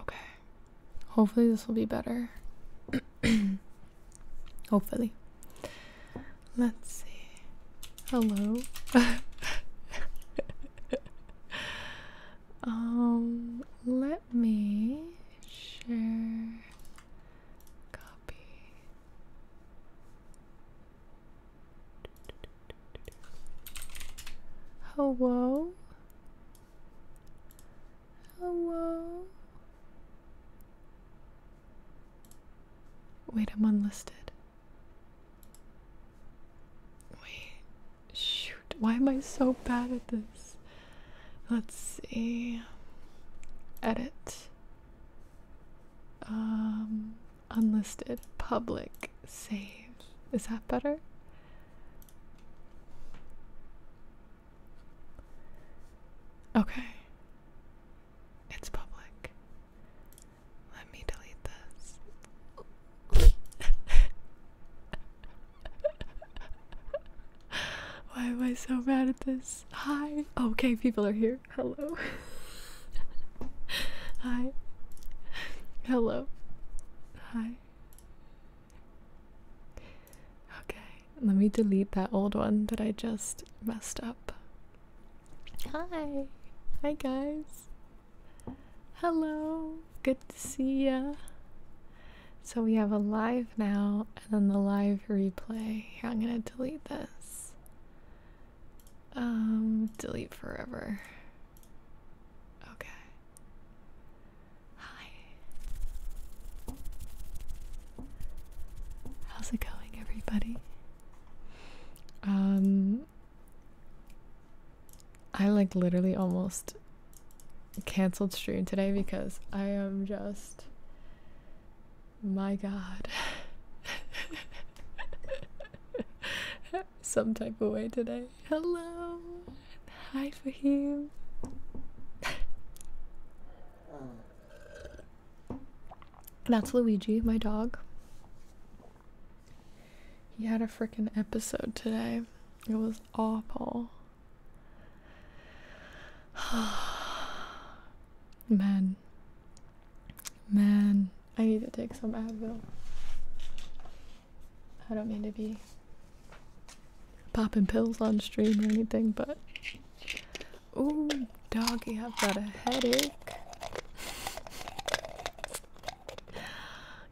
Okay. Hopefully, this will be better. Hopefully. Let's see. Hello. um, let me share copy. Hello? Hello? Wait, I'm unlisted. Wait, shoot. Why am I so bad at this? Let's see. Edit. Um unlisted public save. Is that better? Okay. It's public. Let me delete this. Why am I so mad at this? Hi. Okay, people are here. Hello. Hi. Hello. Hi. Okay, let me delete that old one that I just messed up. Hi. Hi, guys. Hello. Good to see ya. So we have a live now and then the live replay. Here, I'm going to delete this. Um, delete forever. Okay. Hi. How's it going, everybody? Um, I like literally almost canceled stream today because I am just my god. Some type of way today. Hello. Hi, Fahim. That's Luigi, my dog. He had a freaking episode today. It was awful. Man, man, I need to take some Advil. I don't mean to be popping pills on stream or anything, but oh, doggy, I've got a headache.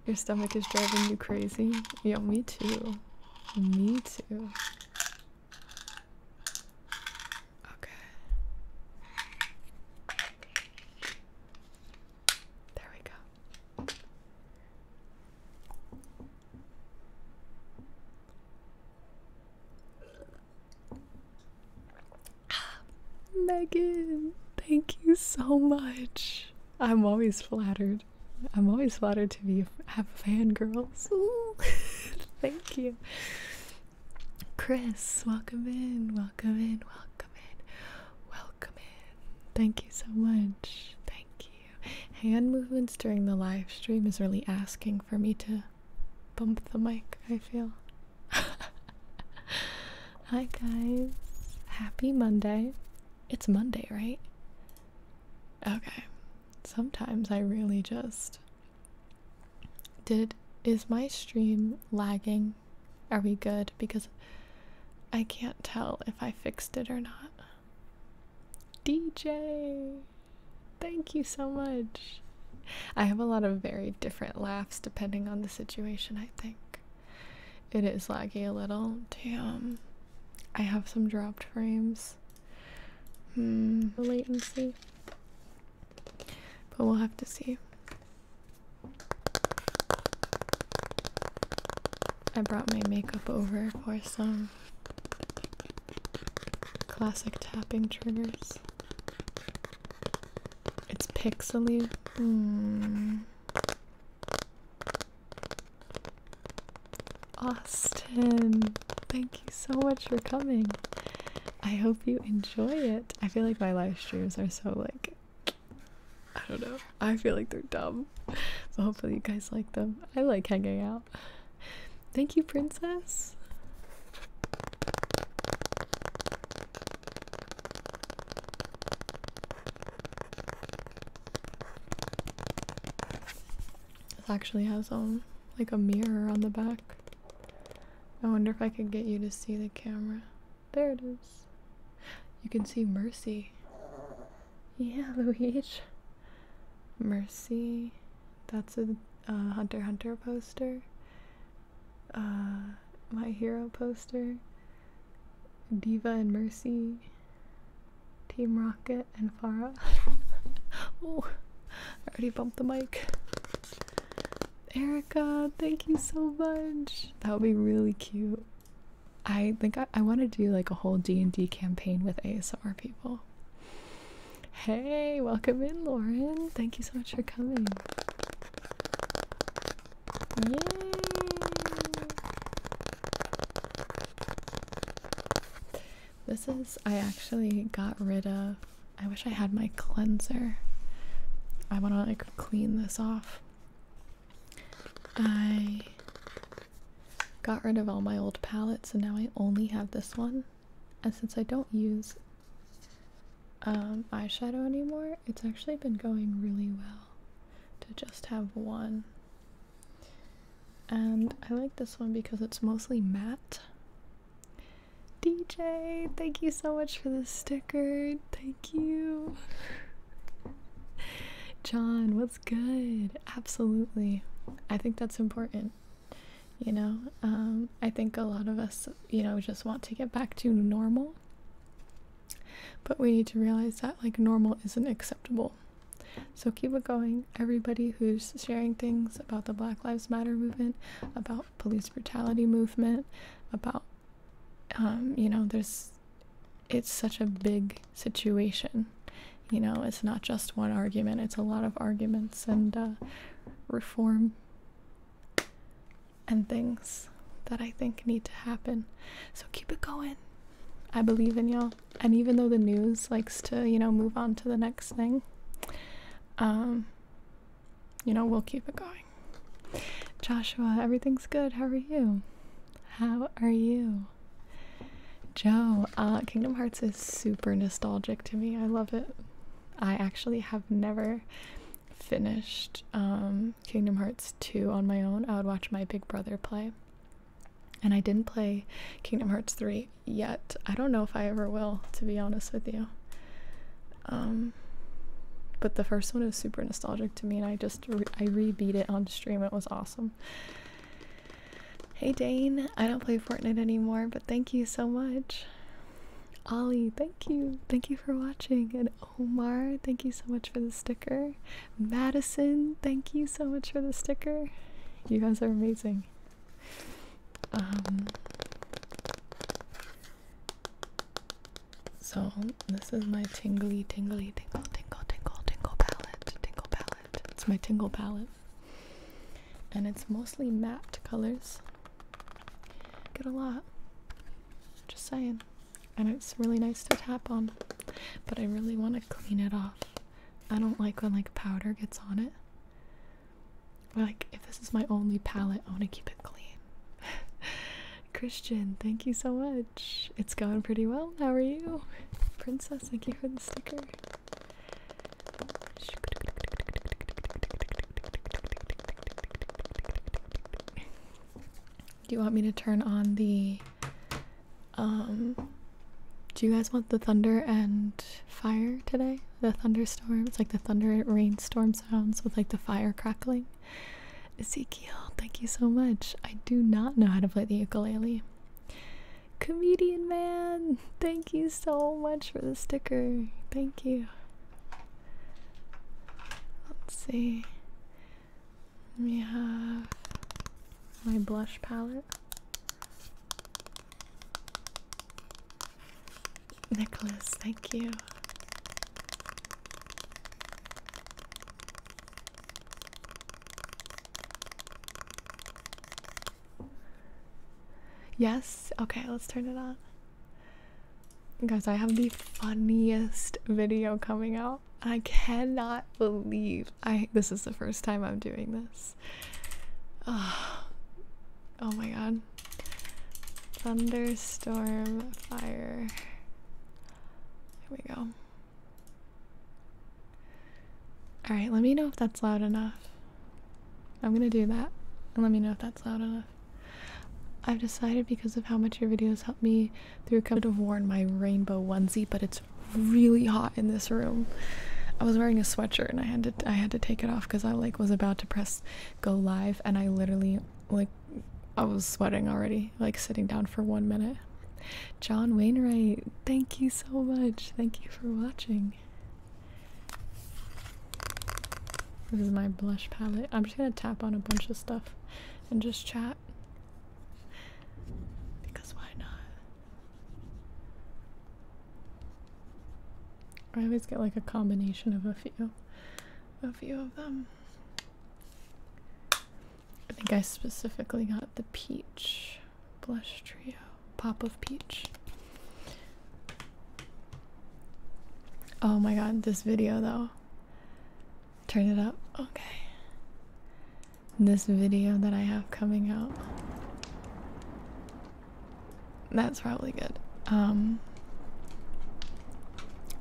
Your stomach is driving you crazy. Yeah, me too. Me too. Okay. There we go. Megan, thank you so much. I'm always flattered. I'm always flattered to be have fangirls. Ooh, thank you. Chris, welcome in, welcome in, welcome in, welcome in. Thank you so much. Thank you. Hand movements during the live stream is really asking for me to bump the mic, I feel. Hi, guys. Happy Monday. It's Monday, right? Okay. Sometimes I really just did is my stream lagging? Are we good? Because I can't tell if I fixed it or not. DJ, thank you so much. I have a lot of very different laughs depending on the situation, I think. It is laggy a little. Damn. I have some dropped frames. Hmm. Latency. But we'll have to see. I brought my makeup over for some classic tapping triggers. It's pixely. Mm. Austin, thank you so much for coming. I hope you enjoy it. I feel like my live streams are so like I don't know. I feel like they're dumb. so hopefully you guys like them. I like hanging out. Thank you, princess. This actually has um like a mirror on the back. I wonder if I could get you to see the camera. There it is. You can see Mercy. Yeah, Luigi. Mercy. That's a Hunter Hunter poster. Uh, My Hero poster. Diva and Mercy. Team Rocket and Farah. oh, I already bumped the mic. Erica, thank you so much. That would be really cute. I think I, I want to do like a whole D&D campaign with ASMR people. Hey, welcome in, Lauren. Thank you so much for coming. Yay! This is, I actually got rid of I wish I had my cleanser. I want to like clean this off. I got rid of all my old palettes and now I only have this one. And since I don't use um, eyeshadow anymore, it's actually been going really well to just have one. And I like this one because it's mostly matte DJ, thank you so much for the sticker. Thank you. John, what's good? Absolutely. I think that's important. You know, um, I think a lot of us, you know, just want to get back to normal. But we need to realize that, like, normal isn't acceptable. So keep it going. Everybody who's sharing things about the Black Lives Matter movement, about police brutality movement, about um, you know, there's it's such a big situation. You know, it's not just one argument, it's a lot of arguments and uh, reform and things that I think need to happen. So keep it going. I believe in y'all. And even though the news likes to, you know, move on to the next thing, um, you know, we'll keep it going. Joshua, everything's good. How are you? How are you? Joe, uh, Kingdom Hearts is super nostalgic to me. I love it. I actually have never finished um, Kingdom Hearts 2 on my own. I would watch my big brother play. And I didn't play Kingdom Hearts 3 yet. I don't know if I ever will, to be honest with you. Um, but the first one was super nostalgic to me, and I just re I rebeat it on stream. It was awesome. Hey Dane, I don't play Fortnite anymore, but thank you so much. Ollie, thank you. Thank you for watching. And Omar, thank you so much for the sticker. Madison, thank you so much for the sticker. You guys are amazing. Um, so this is my tingly, tingly, tingle, tingle, tingle, tingle palette, tingle palette. It's my tingle palette. And it's mostly matte colors. Get a lot. Just saying. And it's really nice to tap on. But I really want to clean it off. I don't like when like powder gets on it like, if this is my only palette, I want to keep it clean. Christian, thank you so much. It's going pretty well. How are you? Princess, thank you for the sticker. Do you want me to turn on the um do you guys want the thunder and fire today? The thunderstorm? It's like the thunder rainstorm sounds with like the fire crackling. Ezekiel, thank you so much. I do not know how to play the ukulele. Comedian man, thank you so much for the sticker. Thank you. Let's see. We have my blush palette. Nicholas, Thank you. Yes? Okay, let's turn it on. Guys, I have the funniest video coming out. I cannot believe I this is the first time I'm doing this. Oh, oh my god. Thunderstorm, fire. Here we go. Alright, let me know if that's loud enough. I'm gonna do that and let me know if that's loud enough. I've decided because of how much your videos helped me through COVID to have worn my rainbow onesie, but it's really hot in this room. I was wearing a sweatshirt and I had to I had to take it off because I like was about to press go live and I literally like I was sweating already, like sitting down for one minute. John Wainwright, thank you so much. Thank you for watching. This is my blush palette. I'm just gonna tap on a bunch of stuff and just chat. Because why not? I always get like a combination of a few a few of them. I think I specifically got the peach blush trio, pop of peach. Oh my god, this video though. Turn it up. Okay. This video that I have coming out. That's probably good. Um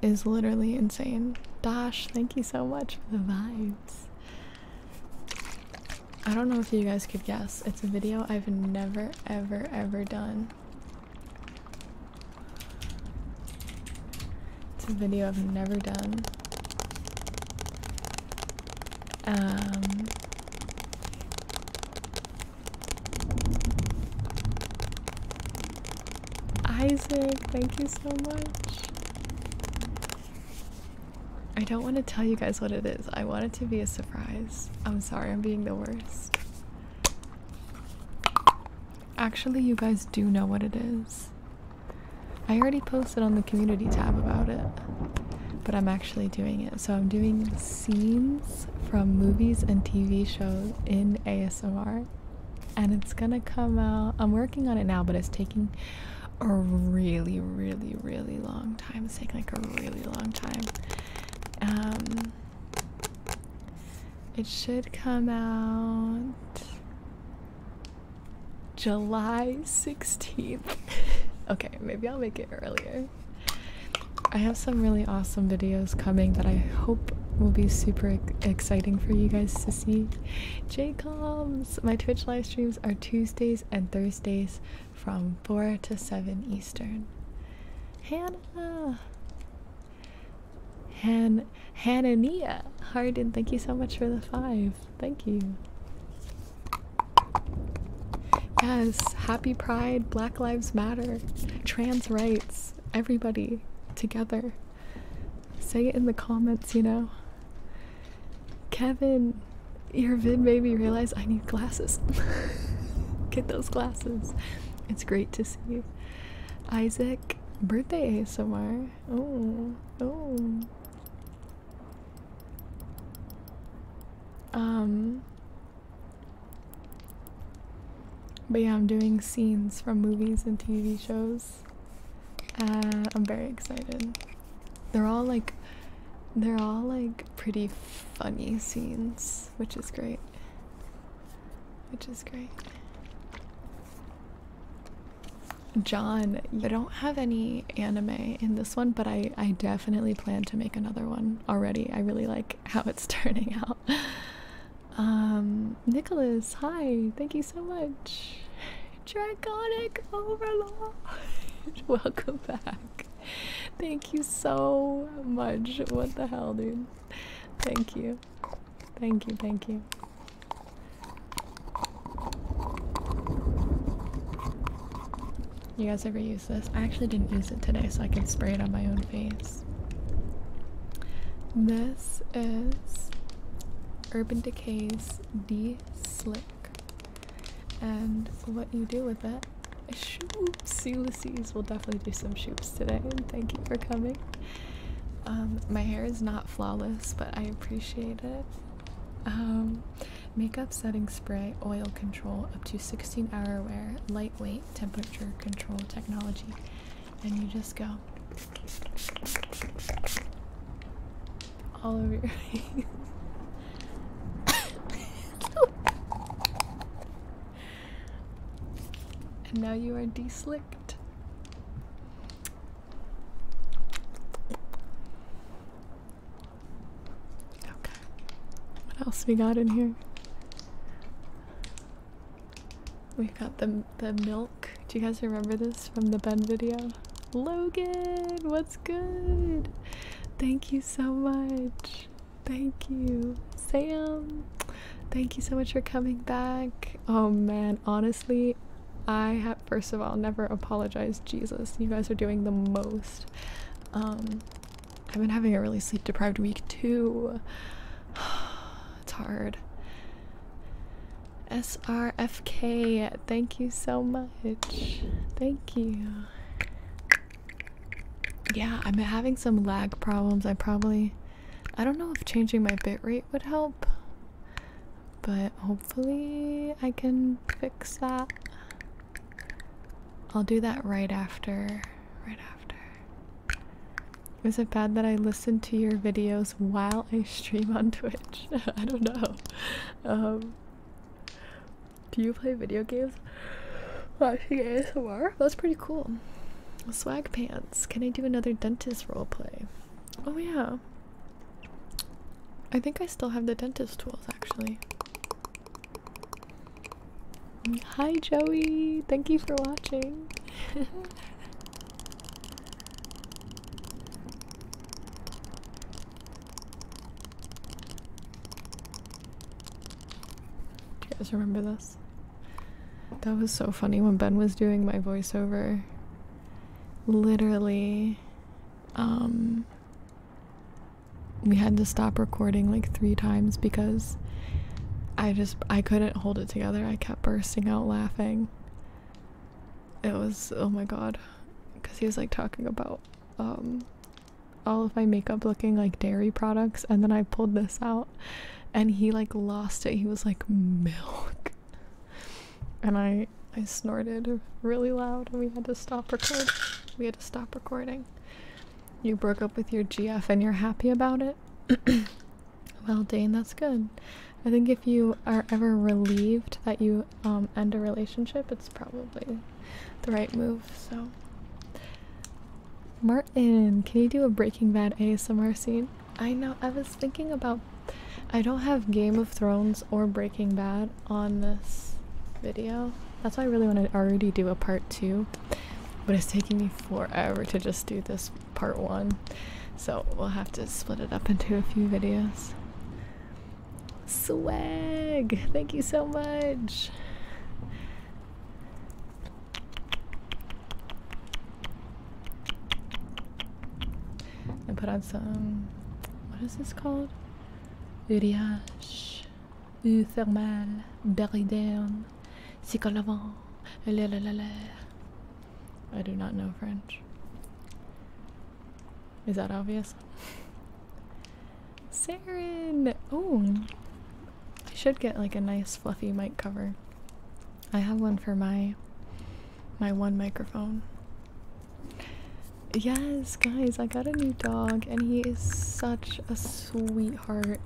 is literally insane. Dash, thank you so much for the vibes. I don't know if you guys could guess. It's a video I've never, ever, ever done. It's a video I've never done. Um, Isaac, thank you so much. I don't want to tell you guys what it is. I want it to be a surprise. I'm sorry, I'm being the worst. Actually, you guys do know what it is. I already posted on the community tab about it, but I'm actually doing it. So I'm doing scenes from movies and TV shows in ASMR. And it's gonna come out. I'm working on it now, but it's taking a really, really, really long time. It's taking like a really long time. Um, it should come out July 16th. okay, maybe I'll make it earlier. I have some really awesome videos coming that I hope will be super exciting for you guys to see. j My Twitch live streams are Tuesdays and Thursdays from 4 to 7 Eastern. Hannah! Han Nia, Hardin, thank you so much for the five. Thank you. Yes, happy pride, Black Lives Matter, trans rights everybody, together. Say it in the comments, you know. Kevin, your vid made me realize I need glasses. Get those glasses. It's great to see you. Isaac, birthday somewhere. Oh, oh. Um, but yeah, I'm doing scenes from movies and TV shows. Uh, I'm very excited. They're all like, they're all like pretty funny scenes, which is great. Which is great. John, I don't have any anime in this one, but I, I definitely plan to make another one already. I really like how it's turning out. Um, Nicholas, hi, thank you so much. Draconic Overlord, welcome back. Thank you so much. What the hell, dude? Thank you. Thank you, thank you. You guys ever use this? I actually didn't use it today, so I can spray it on my own face. This is Urban Decay's D Slick. And what you do with it, shoops, Ulysses. We'll definitely do some shoots today. And thank you for coming. Um, my hair is not flawless, but I appreciate it. Um, makeup setting spray, oil control, up to 16 hour wear, lightweight, temperature control technology and you just go all over your face. and now you are deslicked. Okay. What else we got in here? We have got the the milk. Do you guys remember this from the Ben video? Logan, what's good? Thank you so much. Thank you, Sam. Thank you so much for coming back. Oh man, honestly, I have first of all never apologized, Jesus. You guys are doing the most. Um, I've been having a really sleep deprived week too. It's hard. SRFK, thank you so much. Thank you. Yeah, I'm having some lag problems. I probably. I don't know if changing my bitrate would help, but hopefully I can fix that. I'll do that right after. Right after. Is it bad that I listen to your videos while I stream on Twitch? I don't know. Um, do you play video games? Watching ASMR? That's pretty cool. Swag pants. Can I do another dentist role play? Oh yeah. I think I still have the dentist tools actually. Hi, Joey. Thank you for watching. Do you guys remember this? That was so funny when Ben was doing my voiceover. Literally, um, we had to stop recording like three times because I just I couldn't hold it together. I bursting out laughing. It was oh my god, because he was like talking about um, all of my makeup looking like dairy products, and then I pulled this out, and he like lost it. He was like milk, and I I snorted really loud, and we had to stop recording. We had to stop recording. You broke up with your GF, and you're happy about it. Well, Dane, that's good. I think if you are ever relieved that you um, end a relationship, it's probably the right move. So, Martin, can you do a Breaking Bad ASMR scene? I know. I was thinking about. I don't have Game of Thrones or Breaking Bad on this video. That's why I really want to already do a part two, but it's taking me forever to just do this part one. So we'll have to split it up into a few videos. Swag! Thank you so much! I put on some. What is this called? Uriage, Uthermal, Berry Down. I do not know French. Is that obvious? Saren! Oh! I should get like a nice fluffy mic cover. I have one for my my one microphone. Yes, guys, I got a new dog and he is such a sweetheart.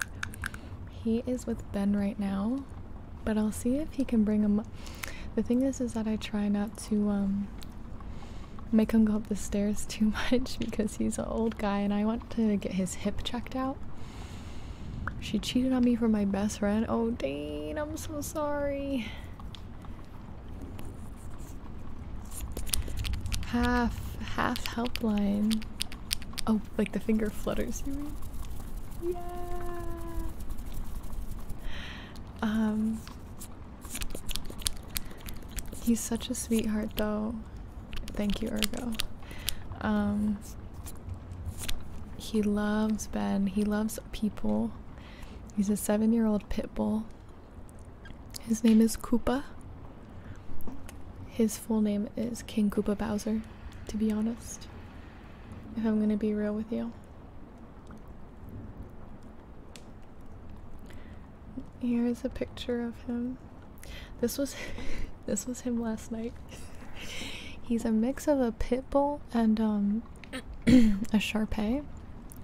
He is with Ben right now, but I'll see if he can bring him. Up. The thing is, is that I try not to um, make him go up the stairs too much because he's an old guy, and I want to get his hip checked out. She cheated on me for my best friend. Oh, Dane, I'm so sorry. Half, half helpline. Oh, like the finger flutters, you mean? Yeah. Um He's such a sweetheart though. Thank you, Ergo. Um He loves Ben. He loves people. He's a seven-year-old pit bull. His name is Koopa. His full name is King Koopa Bowser, to be honest if I'm gonna be real with you. Here is a picture of him. This was this was him last night. He's a mix of a pit bull and um, a Shar Pei,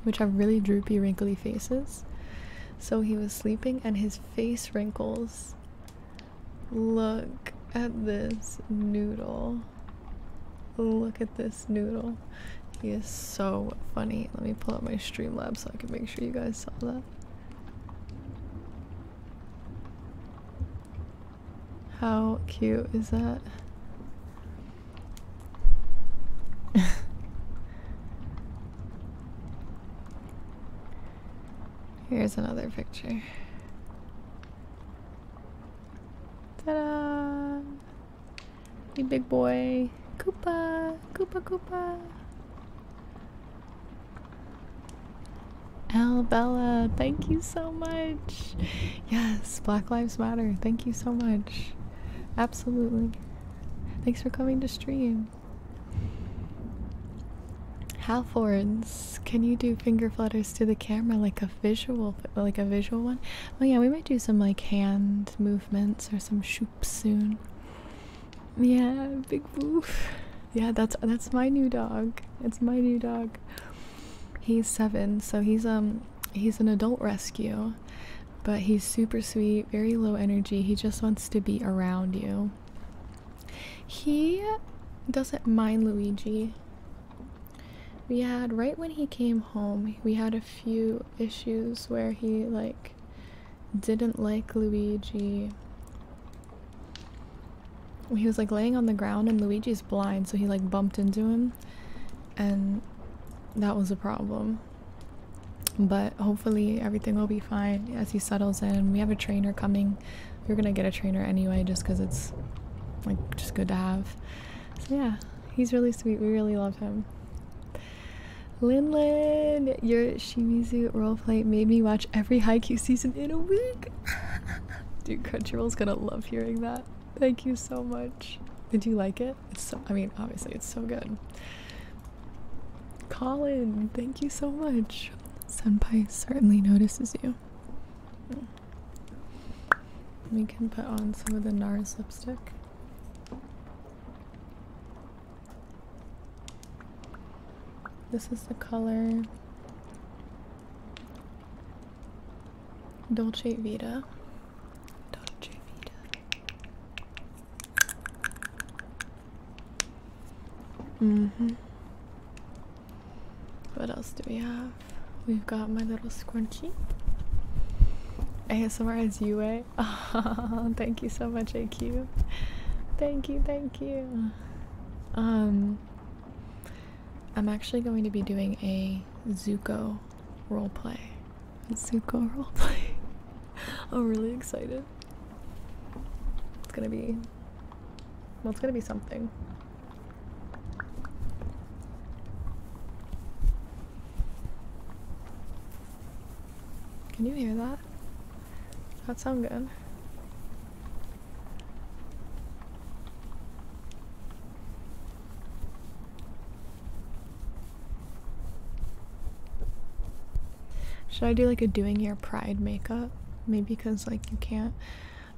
which have really droopy, wrinkly faces. So he was sleeping, and his face wrinkles Look at this noodle. Look at this noodle. He is so funny. Let me pull up my stream lab so I can make sure you guys saw that. How cute is that? Here's another picture. Ta-da! You big boy. Koopa! Koopa Koopa! Albella, thank you so much. Yes, Black Lives Matter. Thank you so much. Absolutely. Thanks for coming to stream. Halfords, can you do finger flutters to the camera like a visual, like a visual one? Oh yeah, we might do some like hand movements or some shoops soon. Yeah, big woof. Yeah, that's that's my new dog. It's my new dog. He's seven, so he's um he's an adult rescue, but he's super sweet, very low energy. He just wants to be around you. He doesn't mind Luigi. We had right when he came home, we had a few issues where he like didn't like Luigi. He was like laying on the ground and Luigi's blind, so he like bumped into him and that was a problem. But hopefully everything will be fine as he settles in. We have a trainer coming training. You're gonna get a trainer anyway, just because it's like just good to have. So yeah, he's really sweet. We really love him. Linlin, your Shimizu roleplay made me watch every Haikyuu season in a week. Dude, Crunchyroll's gonna love hearing that. Thank you so much. Did you like it? It's so, I mean, obviously it's so good. Colin, thank you so much. Senpai certainly notices you. We can put on some of the NARS lipstick. This is the color Dolce Vita. Dolce Vita. hmm what else do we have? We've got my little scrunchie. ASMR is UA. Oh, thank you so much, AQ. Thank you, thank you. Um, I'm actually going to be doing a Zuko role play. Zuko role play. I'm really excited. It's gonna be well, it's gonna be something. Can you hear that? That sound good. Should I do like a doing your pride makeup? Maybe because like you can't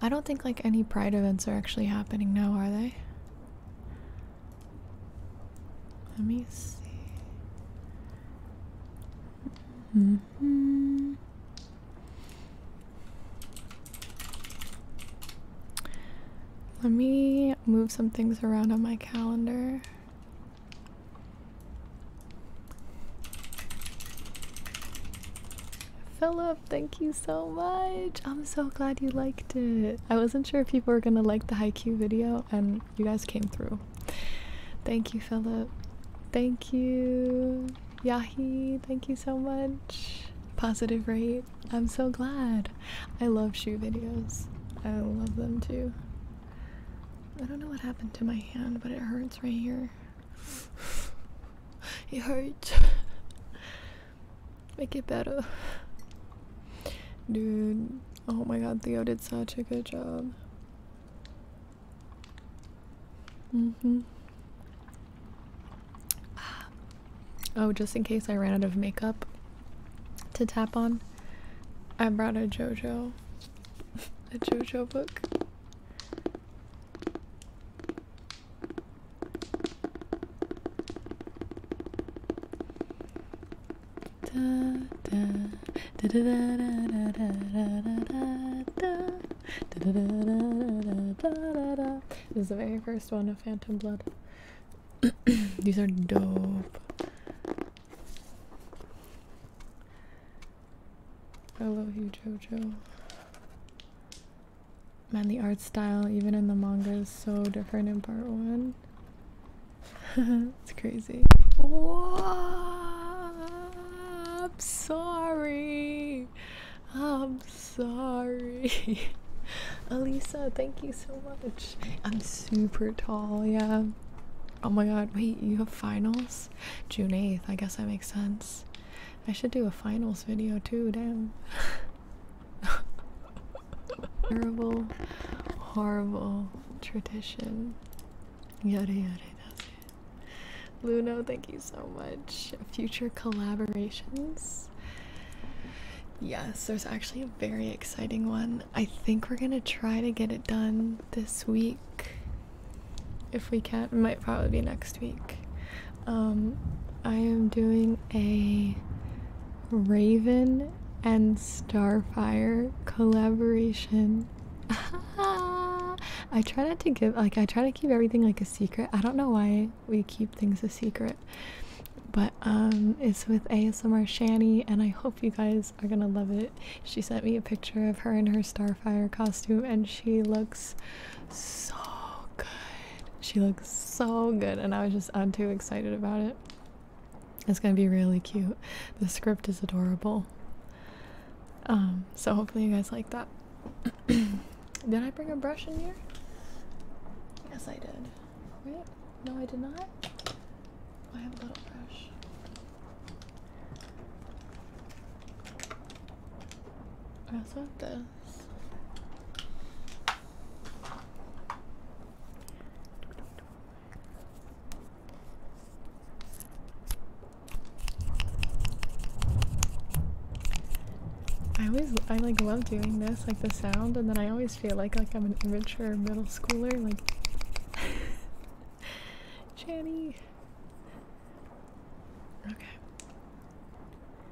I don't think like any pride events are actually happening now, are they? Let me see. Mm-hmm. Let me move some things around on my calendar. Philip, thank you so much. I'm so glad you liked it. I wasn't sure if people were gonna like the haiku video, and you guys came through. Thank you, Philip. Thank you, Yahi. Thank you so much. Positive rate. I'm so glad. I love shoe videos. I love them too. I don't know what happened to my hand, but it hurts right here. It hurts. Make it better. Dude. Oh my god, Theo did such a good job. Mm hmm. Oh, just in case I ran out of makeup to tap on, I brought a JoJo. a JoJo book. This is the very first one of Phantom Blood. These are dope. Hello, love you, Jojo. Man, the art style, even in the manga, is so different in part one. it's crazy. I'm sorry. I'm sorry. Elisa, thank you so much. I'm super tall, yeah. Oh my god, wait, you have finals? June 8th, I guess that makes sense. I should do a finals video too, damn. horrible, horrible tradition. Yada yada, that's Luno, thank you so much. Future collaborations. Yes, there's actually a very exciting one. I think we're gonna try to get it done this week. If we can, it might probably be next week. Um, I am doing a Raven and Starfire collaboration. I try not to give like I try to keep everything like a secret. I don't know why we keep things a secret. But um it's with ASMR Shani and I hope you guys are gonna love it. She sent me a picture of her in her Starfire costume and she looks so good. She looks so good, and I was just I'm too excited about it. It's gonna be really cute. The script is adorable. Um, so hopefully you guys like that. did I bring a brush in here? Yes, I did. Wait, no, I did not. Oh, I have a little brush. I also have this. I always I like love doing this, like the sound, and then I always feel like like I'm an immature middle schooler, like Channy. Okay.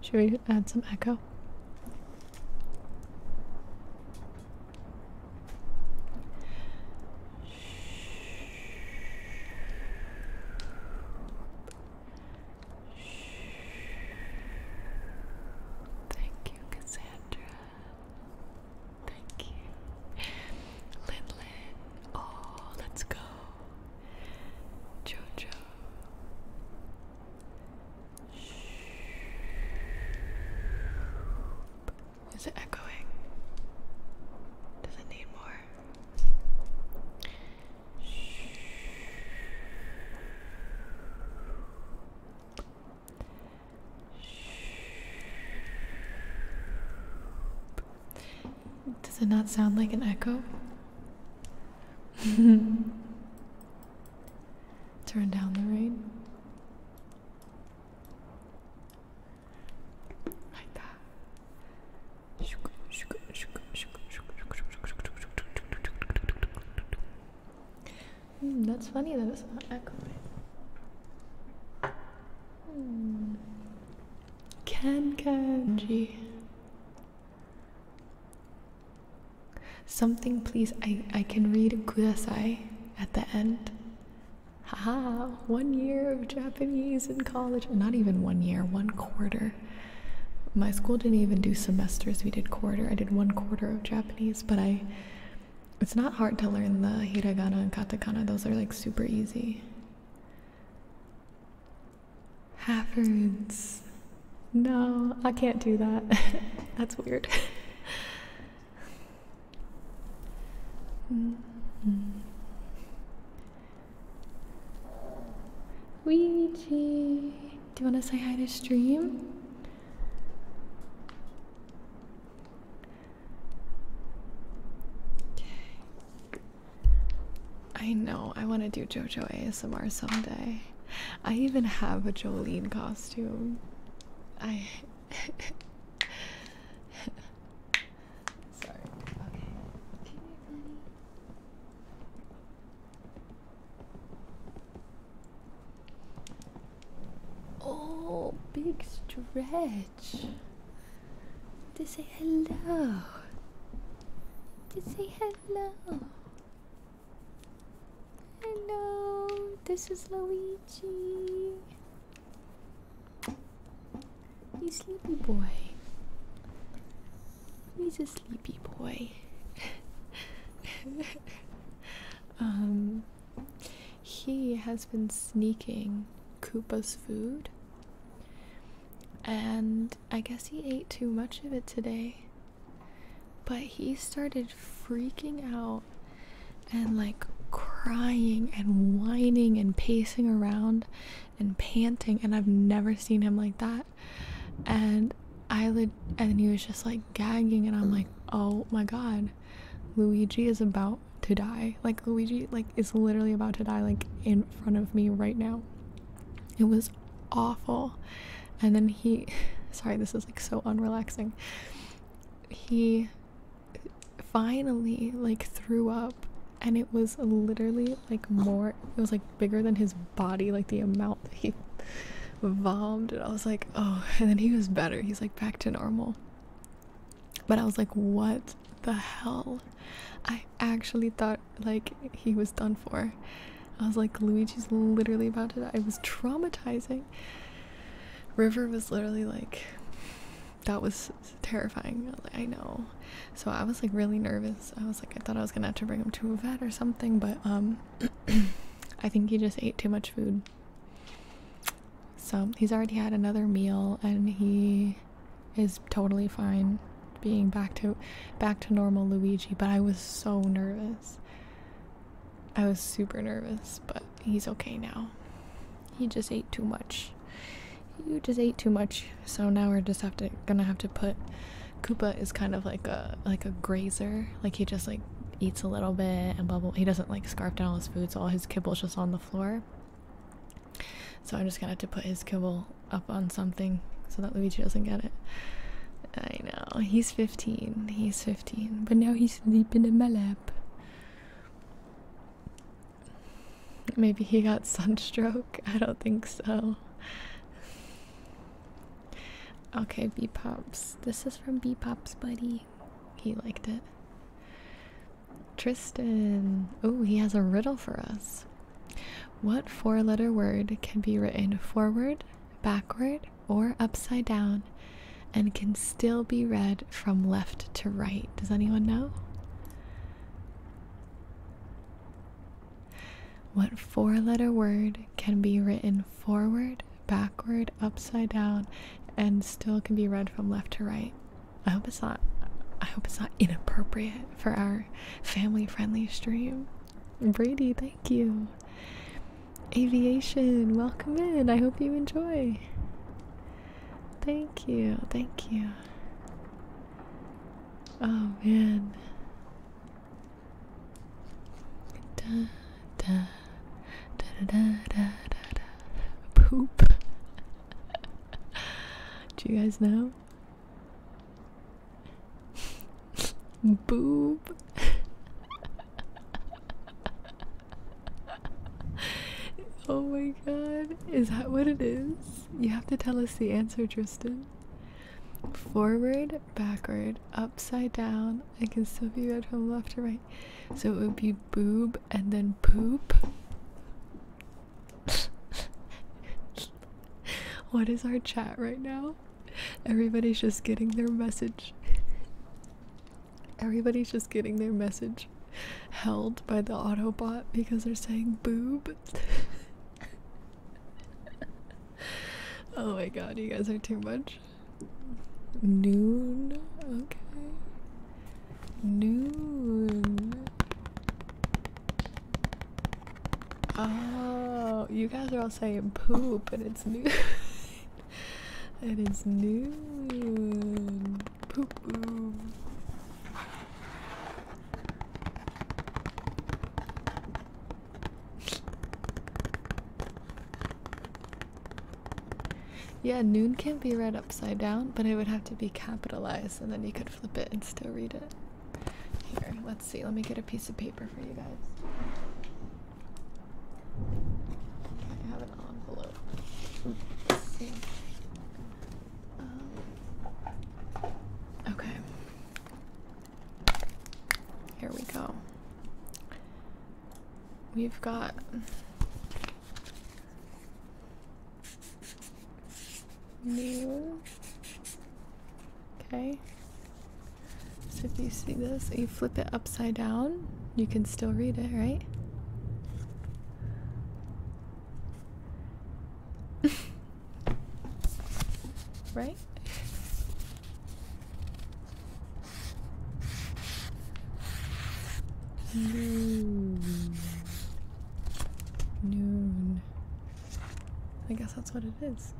Should we add some echo? Thank you, Cassandra. Thank you. Lin Oh, let's go. Jojo. Is it echoing? Does it need more? Does it not sound like an echo? Turn down the rain. Like that. Mm, that's funny that it's not echoing. Mm. Ken Kenji. Something, please. I, I can read kudasai at the end. Haha, one year of Japanese in college. Not even one year, one quarter. My school didn't even do semesters, we did quarter. I did one quarter of Japanese, but I. It's not hard to learn the hiragana and katakana, those are like super easy. Haverns. No, I can't do that. That's weird. mm Do you want to say hi to stream? I know, I want to do JoJo ASMR someday. I even have a Jolene costume. I. Sorry. Okay. Okay, buddy. Oh, big stretch. To say hello. To say hello. Hello. Hello. This is Luigi. You sleepy boy. He's a sleepy boy. um he has been sneaking Koopa's food and I guess he ate too much of it today. But he started freaking out and like crying and whining and pacing around and panting and I've never seen him like that. And I would and he was just like gagging and I'm like, "Oh my god. Luigi is about to die. Like Luigi like is literally about to die like in front of me right now." It was awful. And then he, sorry, this is like so unrelaxing. He finally like threw up, and it was literally like more, it was like bigger than his body, like the amount that he And I was like, oh, and then he was better. He's like back to normal. But I was like, what the hell? I actually thought like he was done for. I was like, Luigi's literally about to die. It was traumatizing. River was literally like, that was terrifying. like, I know. So I was like really nervous. I was like, I thought I was gonna have to bring him to a vet or something, but um, I think he just ate too much food. So he's already had another meal and he is totally fine being back to back to normal Luigi, but I was so nervous. I was super nervous, but he's okay now. He just ate too much. He just ate too much, so now we're just have to gonna have to put Koopa is kind of like a like a grazer. Like he just like eats a little bit and bubble he doesn't like scarf down all his food, so all his kibble's just on the floor. So I'm just gonna have to put his kibble up on something so that Luigi doesn't get it. I know. He's 15. He's 15. But now he's sleeping in my lap. Maybe he got sunstroke? I don't think so. Okay, B Pops. This is from B Pops, buddy. He liked it. Tristan. Oh, he has a riddle for us. What four letter word can be written forward, backward, or upside down and can still be read from left to right? Does anyone know? What four letter word can be written forward, backward, upside down, and still can be read from left to right? I hope it's not. I hope it's not inappropriate for our family friendly stream. Brady, thank you. Aviation, welcome in. I hope you enjoy. Thank you, thank you. Oh man. Da, da, da, da, da, da, Poop. Do you guys know? Boob. oh my god. Is that what it is? You have to tell us the answer, Tristan. Forward, backward, upside down. I can still be read from left to right. So it would be boob and then poop. what is our chat right now? Everybody's just getting their message. Everybody's just getting their message held by the Autobot because they're saying boob. oh my god, you guys are too much. Noon? Okay. Noon. Oh, you guys are all saying poop, and it's noon. it is noon. Poop. -oo. Yeah, noon can be read upside down, but it would have to be capitalized, and then you could flip it and still read it. Here, let's see. Let me get a piece of paper for you guys. I have an envelope. Um, okay. Here we go. We've got. New. Okay. So if you see this, you flip it upside down, you can still read it, right? right? Noon. Noon. I guess that's what it is.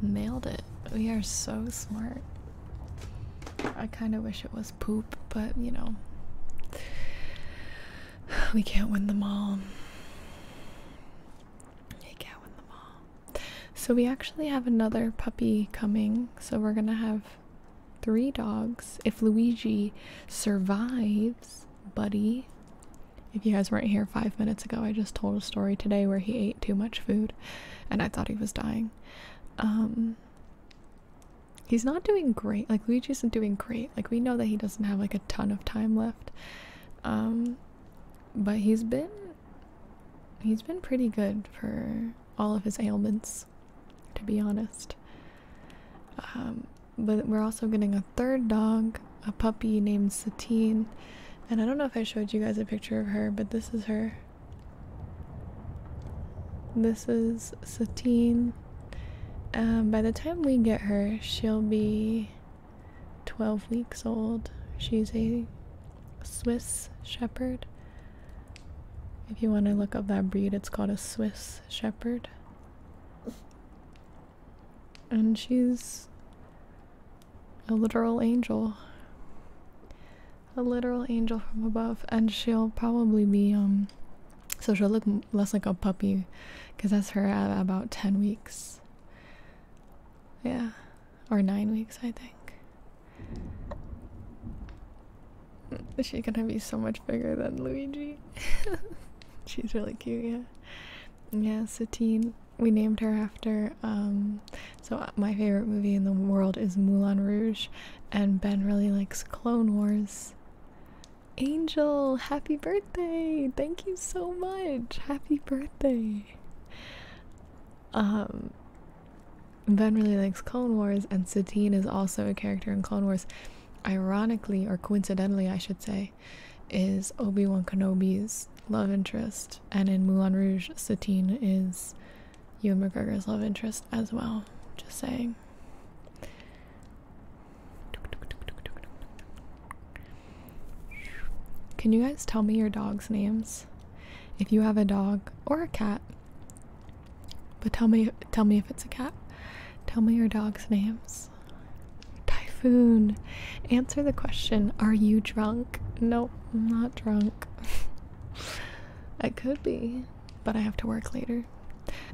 Mailed it. We are so smart. I kind of wish it was poop, but you know, we can't win them all. We can't win them all. So, we actually have another puppy coming, so we're gonna have three dogs. If Luigi survives, buddy. If you guys weren't here five minutes ago, I just told a story today where he ate too much food and I thought he was dying. Um, he's not doing great. Like, Luigi isn't doing great. Like, we know that he doesn't have like a ton of time left. Um, but he's been. He's been pretty good for all of his ailments, to be honest. Um, but we're also getting a third dog, a puppy named Satine. And I don't know if I showed you guys a picture of her, but this is her. This is Satine. Um, by the time we get her, she'll be 12 weeks old. She's a Swiss Shepherd. If you want to look up that breed, it's called a Swiss Shepherd. And she's a literal angel. A literal angel from above. And she'll probably be, um, so she'll look less like a puppy because that's her at about 10 weeks. Yeah. Or nine weeks, I think. She's gonna be so much bigger than Luigi. She's really cute, yeah. Yeah, Satine. We named her after. Um, so uh, my favorite movie in the world is Mulan Rouge, and Ben really likes Clone Wars. Angel, happy birthday! Thank you so much. Happy birthday. Um, Ben really likes Clone Wars, and Satine is also a character in Clone Wars. Ironically, or coincidentally, I should say, is Obi Wan Kenobi's love interest, and in Moulin Rouge, Satine is Ewan McGregor's love interest as well. Just saying. Can you guys tell me your dog's names? If you have a dog or a cat, but tell me tell me if it's a cat. Tell me your dog's names. Typhoon. Answer the question, are you drunk? No, I'm not drunk. I could be, but I have to work later.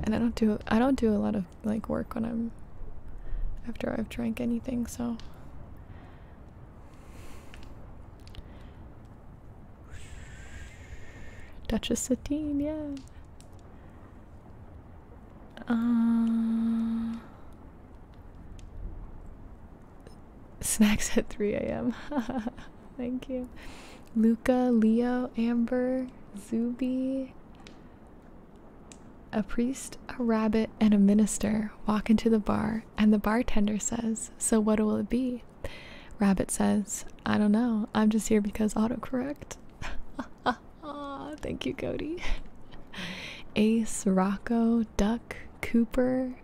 And I don't do I don't do a lot of like work when I'm after I've drank anything, so Duchess Satine, yeah. Uh, snacks at 3 a.m. Thank you. Luca, Leo, Amber, Zuby. A priest, a rabbit, and a minister walk into the bar, and the bartender says, So what will it be? Rabbit says, I don't know. I'm just here because autocorrect. Thank you, Cody. Ace, Rocco, Duck, Cooper,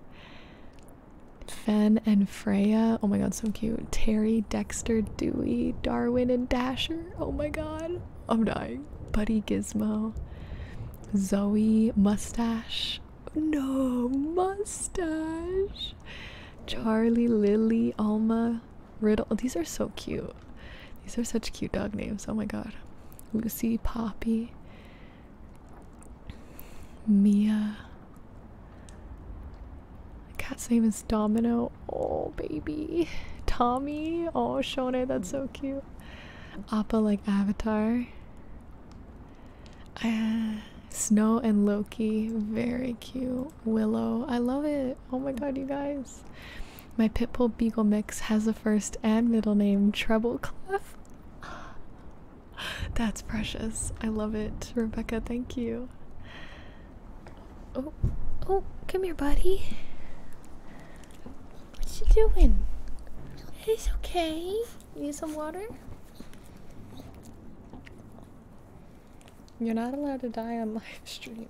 Fen, and Freya. Oh my god, so cute. Terry, Dexter, Dewey, Darwin, and Dasher. Oh my god, I'm dying. Buddy Gizmo, Zoe, Mustache. No, Mustache. Charlie, Lily, Alma, Riddle. Oh, these are so cute. These are such cute dog names. Oh my god. Lucy, Poppy, Mia. cat's name is Domino. Oh, baby. Tommy. Oh, Shone, that's so cute. Appa, like Avatar. Uh, Snow and Loki, very cute. Willow, I love it. Oh my god, you guys. My Pitbull Beagle mix has a first and middle name, Treble Clef. That's precious. I love it. Rebecca, thank you. Oh, oh, come here, buddy. What's you doing? He's okay. Need some water? You're not allowed to die on live stream.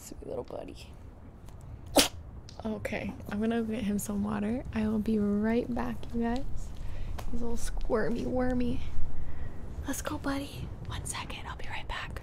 Sweet little buddy. Okay, I'm gonna get him some water. I will be right back, you guys. He's a little squirmy, wormy. Let's go, buddy. One second, I'll be right back.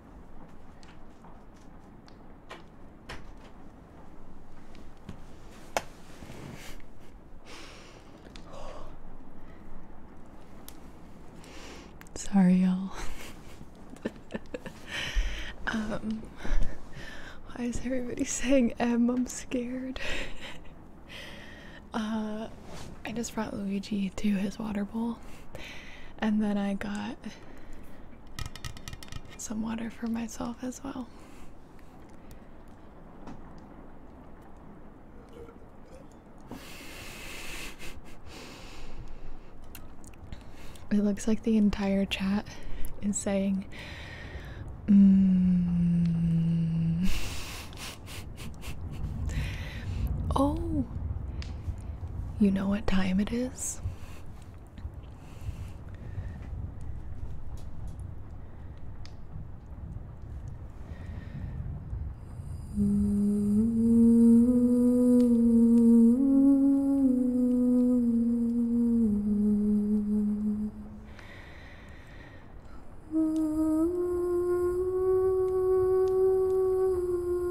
Sorry, y'all. Um, why is everybody saying M? I'm scared. Uh, I just brought Luigi to his water bowl, and then I got some water for myself as well. It looks like the entire chat is saying, mm. oh, you know what time it is?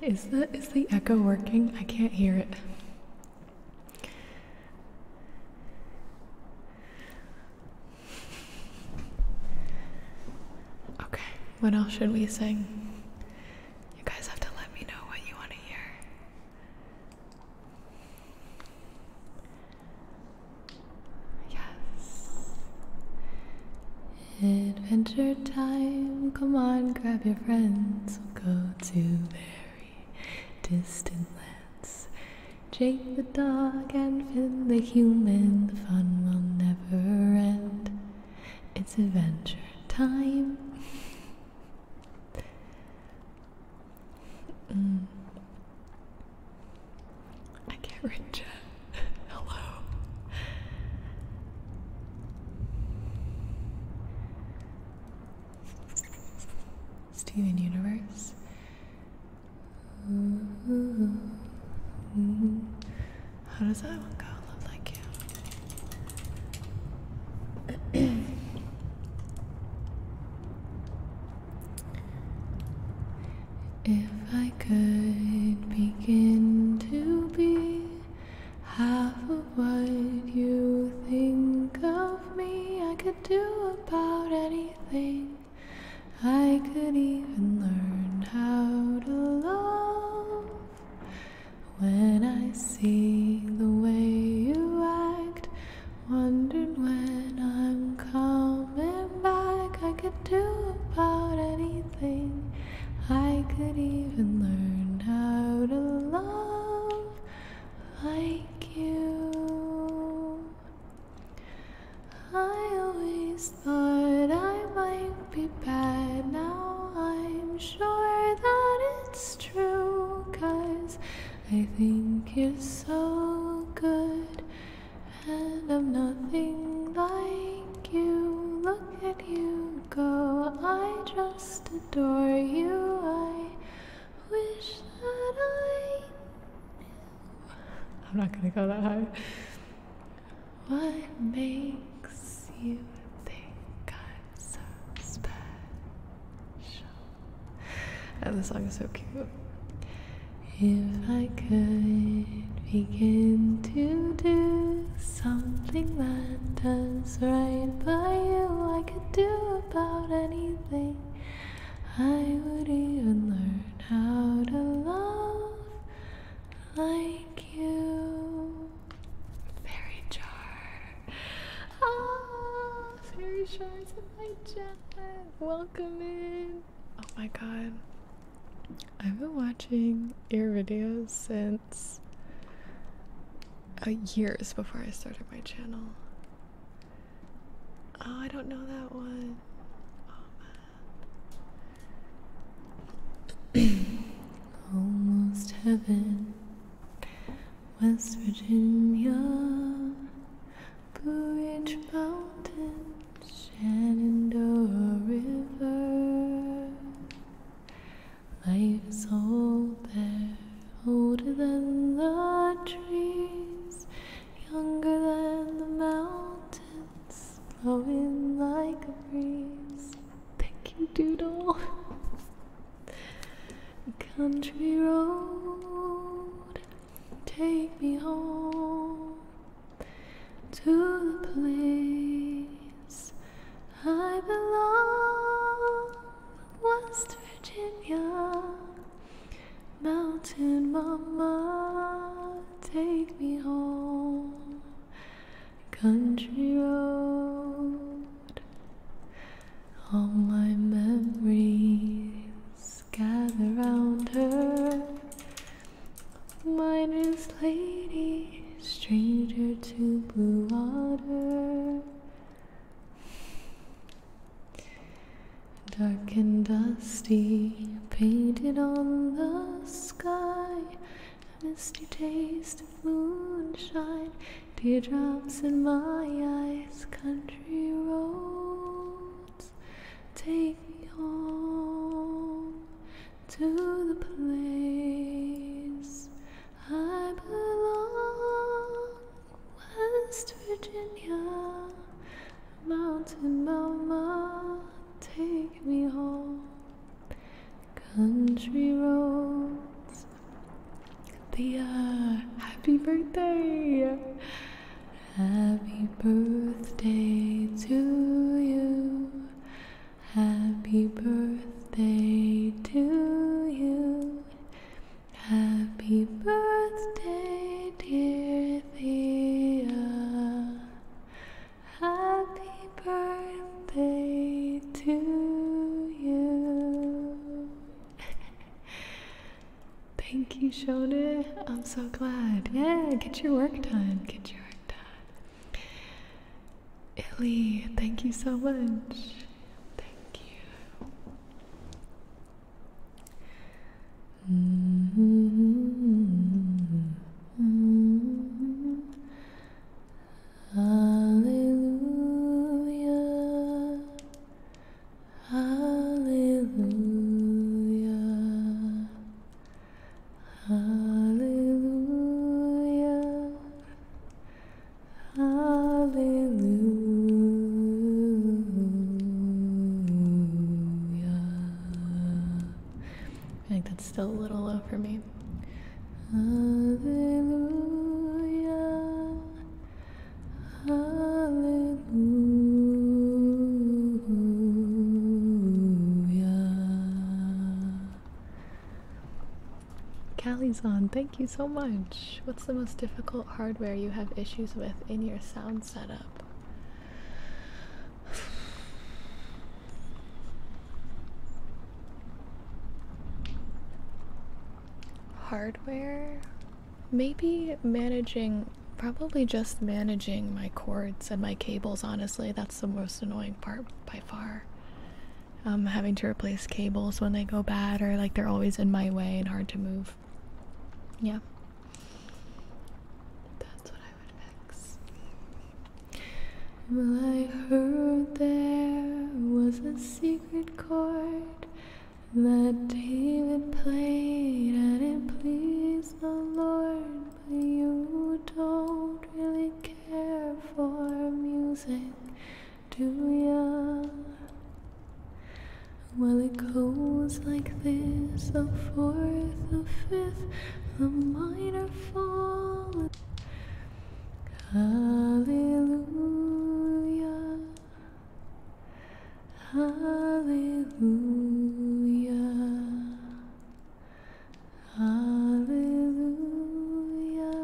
Is the is the echo working? I can't hear it. Okay, what else should we sing? You guys have to let me know what you want to hear. Yes. Adventure time. Come on, grab your friends go to very distant lands. Jake the dog and Finn the human, the fun will never end. It's adventure time. Mm. I can't read Hello. Steven Universe. How does that one go? Look like you. if I could begin to be Half of what you think of me, I could do about anything. I could even learn how to love. When I see the way you act, wondering when I'm coming back, I could do about anything. I could even learn how to love like you. I always thought I might be bad, now I'm sure that it's true. Cause I think you're so good, and I'm nothing like you. Look at you go, I just I wish that I I'm not gonna go that high. What makes you think I'm so special? Oh, the song is so cute. If I could begin to do Something that does right by you, I could do about anything. I would even learn how to love like you. Fairy jar. Ah, fairy jars in my chat. Welcome in. Oh my god. I've been watching your videos since years before I started my channel. Oh, I don't know that one. Oh, West Virginia, Blue Ridge Shenandoah River. Life's older, older than the trees, younger than the mountains, blowing like a breeze. Thank you, Doodle. Country road, take me home to the place I belong West Virginia Mountain Mama Take me home Country road All my memories Gather round her Miner's lady stranger to blue water. Dark and dusty, painted on the sky, a misty taste of moonshine, teardrops in my eyes, country roads. Take me home to the place I belong, West Virginia, mountain mama, take me home. Country roads, Thea, happy birthday! Happy birthday to you. Happy birthday to you. Happy birthday, dear Thea. Happy birthday to you. Thank you, Shoda. I'm so glad. Yeah, get your work done. Get your work done. Illy, thank you so much. Thank you. Hallelujah. Hallelujah. Hallelujah. Hallelujah. I think that's still a little low for me. Hallelujah. Hallelujah. Callie's on. thank you so much. What's the most difficult hardware you have issues with in your sound setup? Hardware? Maybe managing, probably just managing my cords and my cables, honestly. That's the most annoying part by far um, having to replace cables when they go bad or like they're always in my way and hard to move. Yeah. That's what I would fix. Well, I heard there was a secret chord that David played and it pleased the Lord, but you don't really care for music do ya? Well, it goes like this a fourth, a fifth, a minor fall. Hallelujah. Hallelujah. Hallelujah.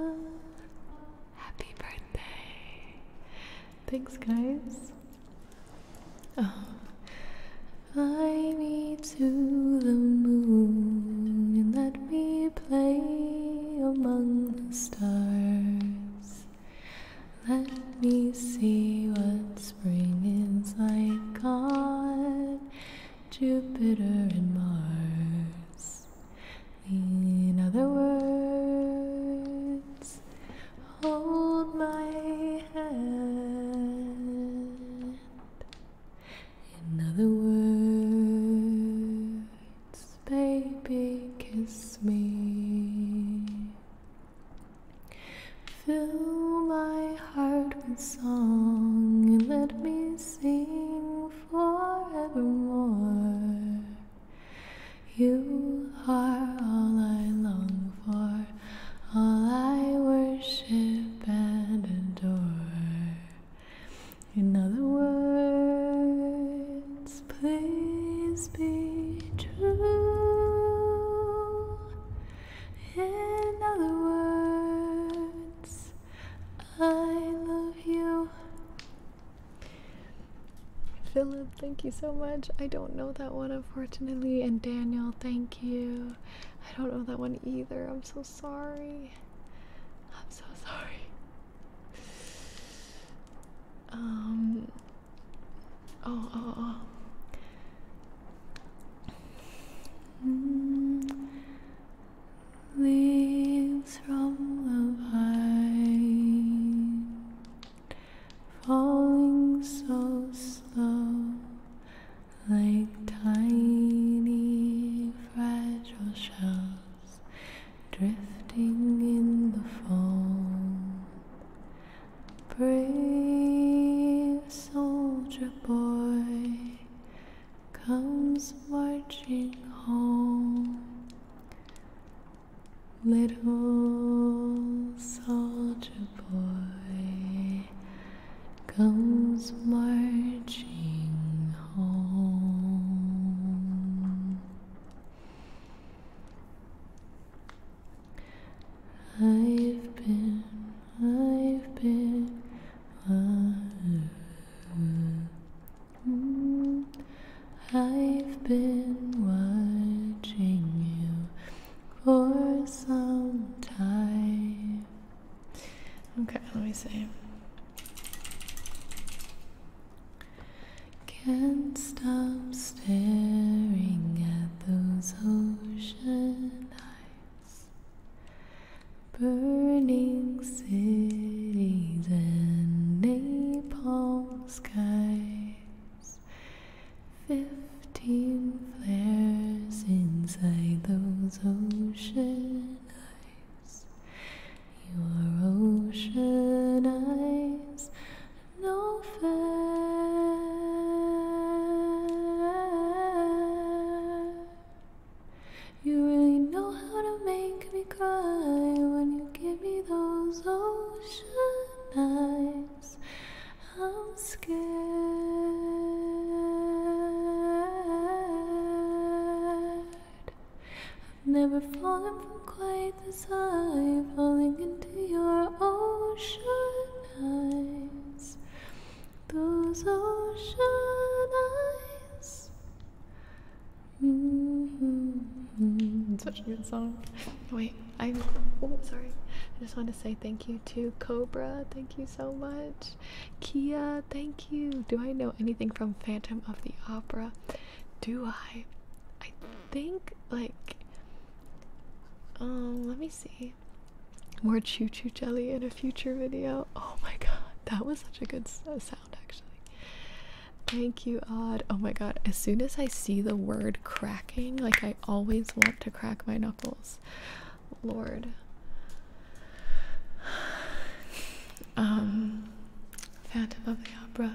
Happy birthday. Thanks, guys. Oh. Fly me to the moon and let me play among the stars. Let me see what spring is like on Jupiter and Mars. In other words, hold my hand. In other words, baby, kiss me. Fill my heart with song and let me sing forevermore. You are all I long for, all I worship and adore. In other words, please be true. In other words, I love you. Philip, thank you so much. I don't know that one, unfortunately. And Daniel, thank you. I don't know that one either. I'm so sorry. I'm so sorry. Um. Oh, oh, oh. Mm, leaves from the vine falling so slow like tiny fragile shells drifting in the foam brave soldier boy comes marching home Little soldier boy comes marching home. I've been, I've been, I've I've been watching you for some time. Okay, let me see. Can't stop staring at those ocean eyes, burning cities and napalm skies. Fifteen flares inside those ocean eyes. Your ocean eyes, no fair. You really know how to make me cry when you give me those ocean eyes. I'm scared. I've never fallen from quite this high, falling into your ocean eyes. Those ocean eyes. Mm-hmm. Such a good song. Wait, I'm oh sorry. I just want to say thank you to Cobra. Thank you so much. Kia, thank you. Do I know anything from Phantom of the Opera? Do I? I think like um let me see. More choo choo jelly in a future video. Oh my god, that was such a good uh, actually. Thank you, Odd. Oh my god, as soon as I see the word cracking, like I always want to crack my knuckles. Lord. Um Phantom of the Opera.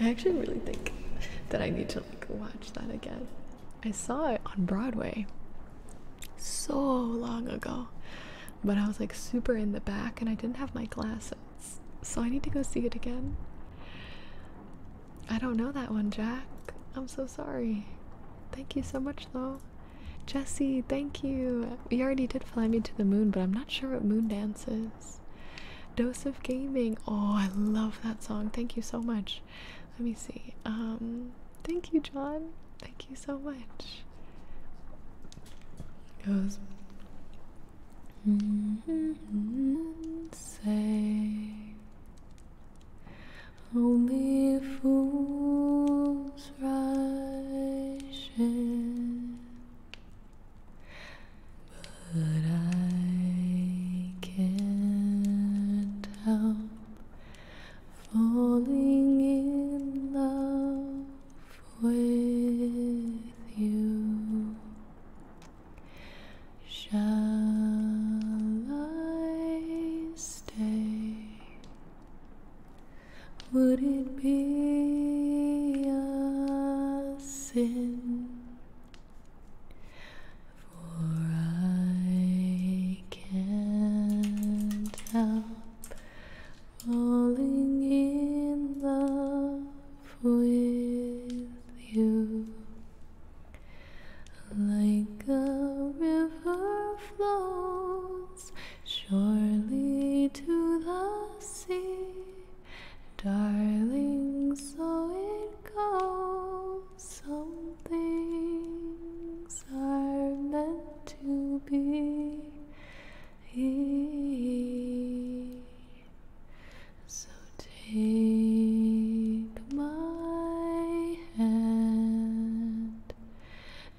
I actually really think that I need to like watch that again. I saw it on Broadway so long ago, but I was like super in the back and I didn't have my glasses, so I need to go see it again. I don't know that one, Jack. I'm so sorry. Thank you so much, though. Jesse, thank you. We already did Fly Me to the Moon, but I'm not sure what Moon Dance is. Dose of Gaming. Oh, I love that song. Thank you so much. Let me see. Um, thank you, John. Thank you so much. It goes. Mm say only fools rush in. But I can't help falling in love with you. Shall I stay? Would it be a sin for I can't help falling in love with you like a river flows surely to the sea, darling, so it go. Some things are meant to be. So take my hand,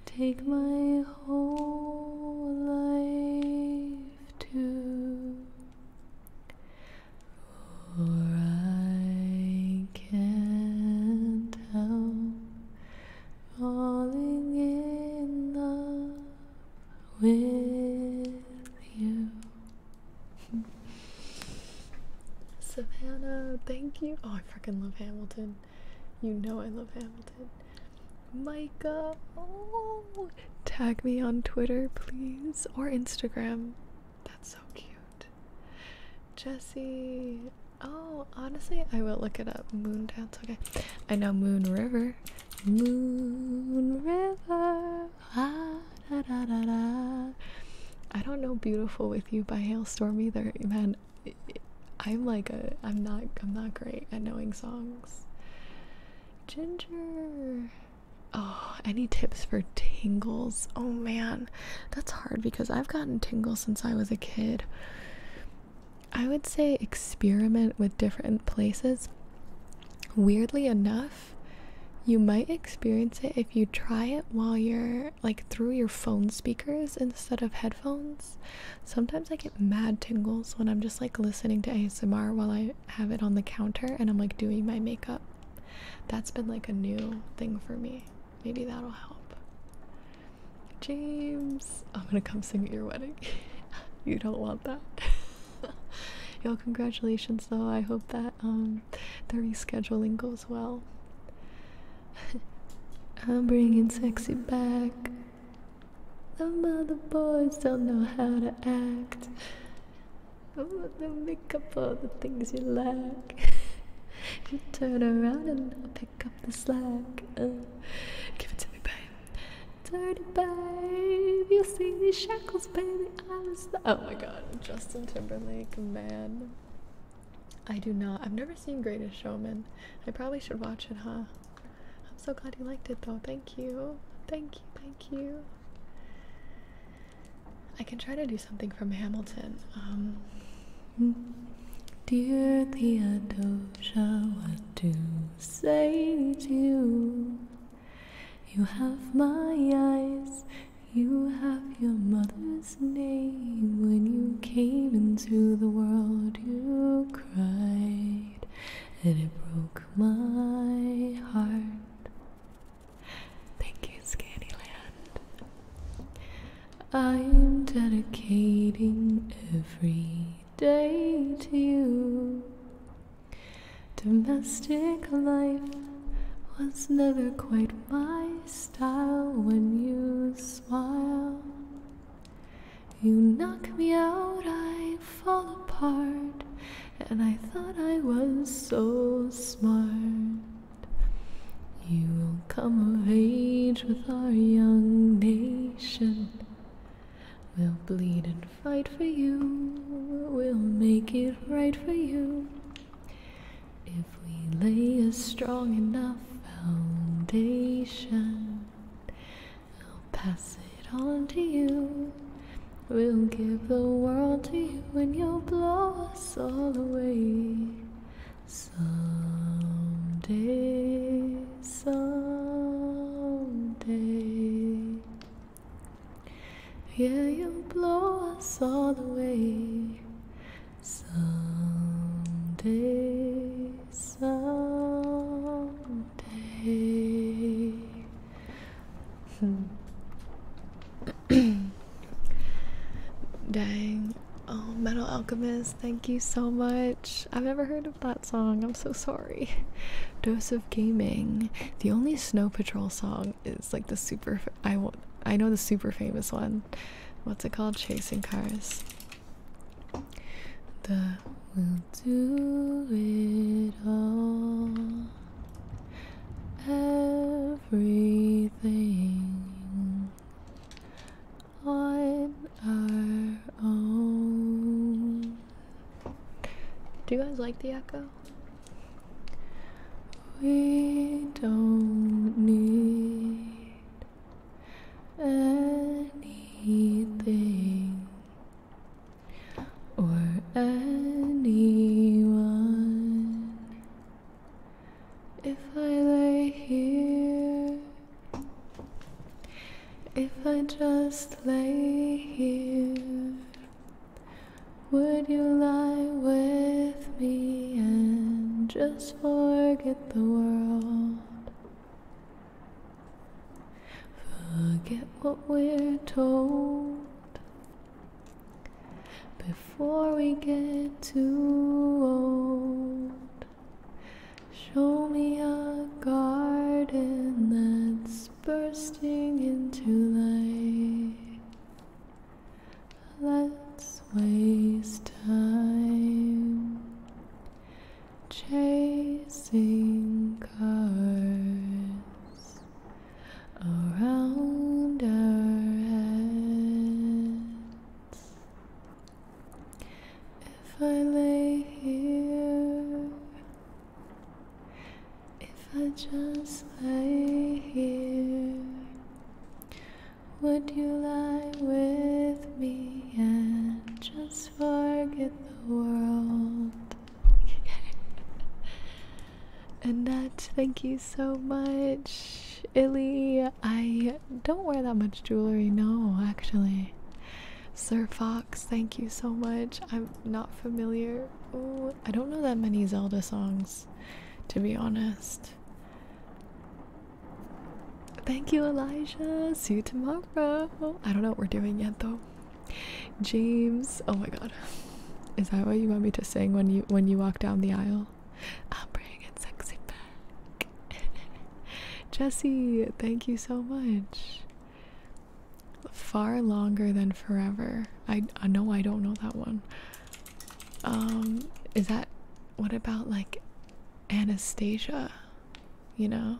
take my whole life too. For I can't help falling in love with you. Savannah, thank you. Oh, I freaking love Hamilton. You know I love Hamilton. Micah, oh, tag me on Twitter, please, or Instagram. That's so cute. Jesse. Oh, honestly, I will look it up. Moon Dance. Okay. I know Moon River. Moon River. Ah, da, da, da, da. I don't know Beautiful With You by Hailstorm either. Man, I'm like a I'm not I'm not great at knowing songs. Ginger. Oh, any tips for tingles? Oh man, that's hard because I've gotten tingles since I was a kid. I would say experiment with different places. Weirdly enough, you might experience it if you try it while you're like through your phone speakers instead of headphones. Sometimes I get mad tingles when I'm just like listening to ASMR while I have it on the counter and I'm like doing my makeup. That's been like a new thing for me. Maybe that'll help. James, I'm gonna come sing at your wedding. you don't want that. y'all. congratulations though. I hope that um, the rescheduling goes well. I'm bringing sexy back. The other boys don't know how to act about the makeup all the things you lack. you turn around and I'll pick up the slack. Uh, give it to me, babe. Dirty babe, you see these shackles, baby. I'm oh my god, Justin Timberlake, man. I do not. I've never seen Greatest Showman. I probably should watch it, huh? I'm so glad you liked it, though. Thank you. Thank you. Thank you. I can try to do something from Hamilton. Um, Dear Theodosia, what do to say to you? You have my eyes, you have your mother's name. When you came into the world, you cried, and it broke my heart. Thank you, Scandyland. I'm dedicating every day to you. Domestic life was never quite my style when you smile. You knock me out, I fall apart and I thought I was so smart. You will come of age with our young nation. We'll bleed and fight for you, we'll make it right for you. If we lay a strong enough foundation, I'll pass it on to you. We'll give the world to you when you blow us all away. Someday, someday. Yeah, you'll blow us all away. Someday, someday. Hmm. Dang. Oh, Metal Alchemist, thank you so much. I've never heard of that song. I'm so sorry. Dose of Gaming. The only Snow Patrol song is like the super. I won't. I know the super famous one. What's it called? Chasing Cars. The will do it all everything on our own. Do you guys like the echo? We don't need anything or anyone. If I lay here, if I just lay here, would you lie with me and just forget the world? Forget what we're told. Before we get too old, show me a garden that's bursting into life. Let's waste time chasing cars around our heads. If I lay here, if I just lay here, would you lie with me and just forget the world? And that, thank you so much, Illy. I don't wear that much jewelry, no, actually. Sir Fox, thank you so much. I'm not familiar. Ooh, I don't know that many Zelda songs, to be honest. Thank you, Elijah. See you tomorrow. I don't know what we're doing yet, though. James, oh my god. Is that what you want me to sing when you when you walk down the aisle? I'll bring it sexy back. Jesse, thank you so much. Far longer than forever. I I know I don't know that one. Um, is that what about like Anastasia? You know.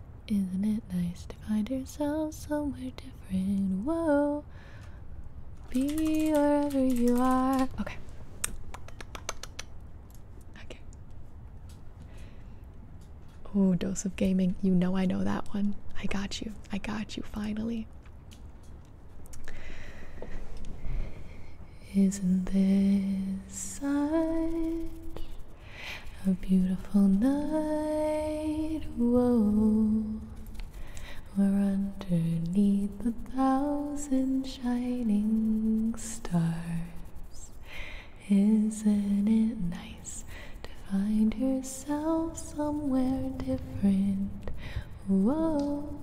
Isn't it nice to find yourself somewhere different? Whoa! Be wherever you are. Okay. Okay. Oh, Dose of Gaming. You know I know that one. I got you. I got you finally. Isn't this such a beautiful night. Whoa, we're underneath the thousand shining stars. Isn't it nice to find yourself somewhere different? Whoa,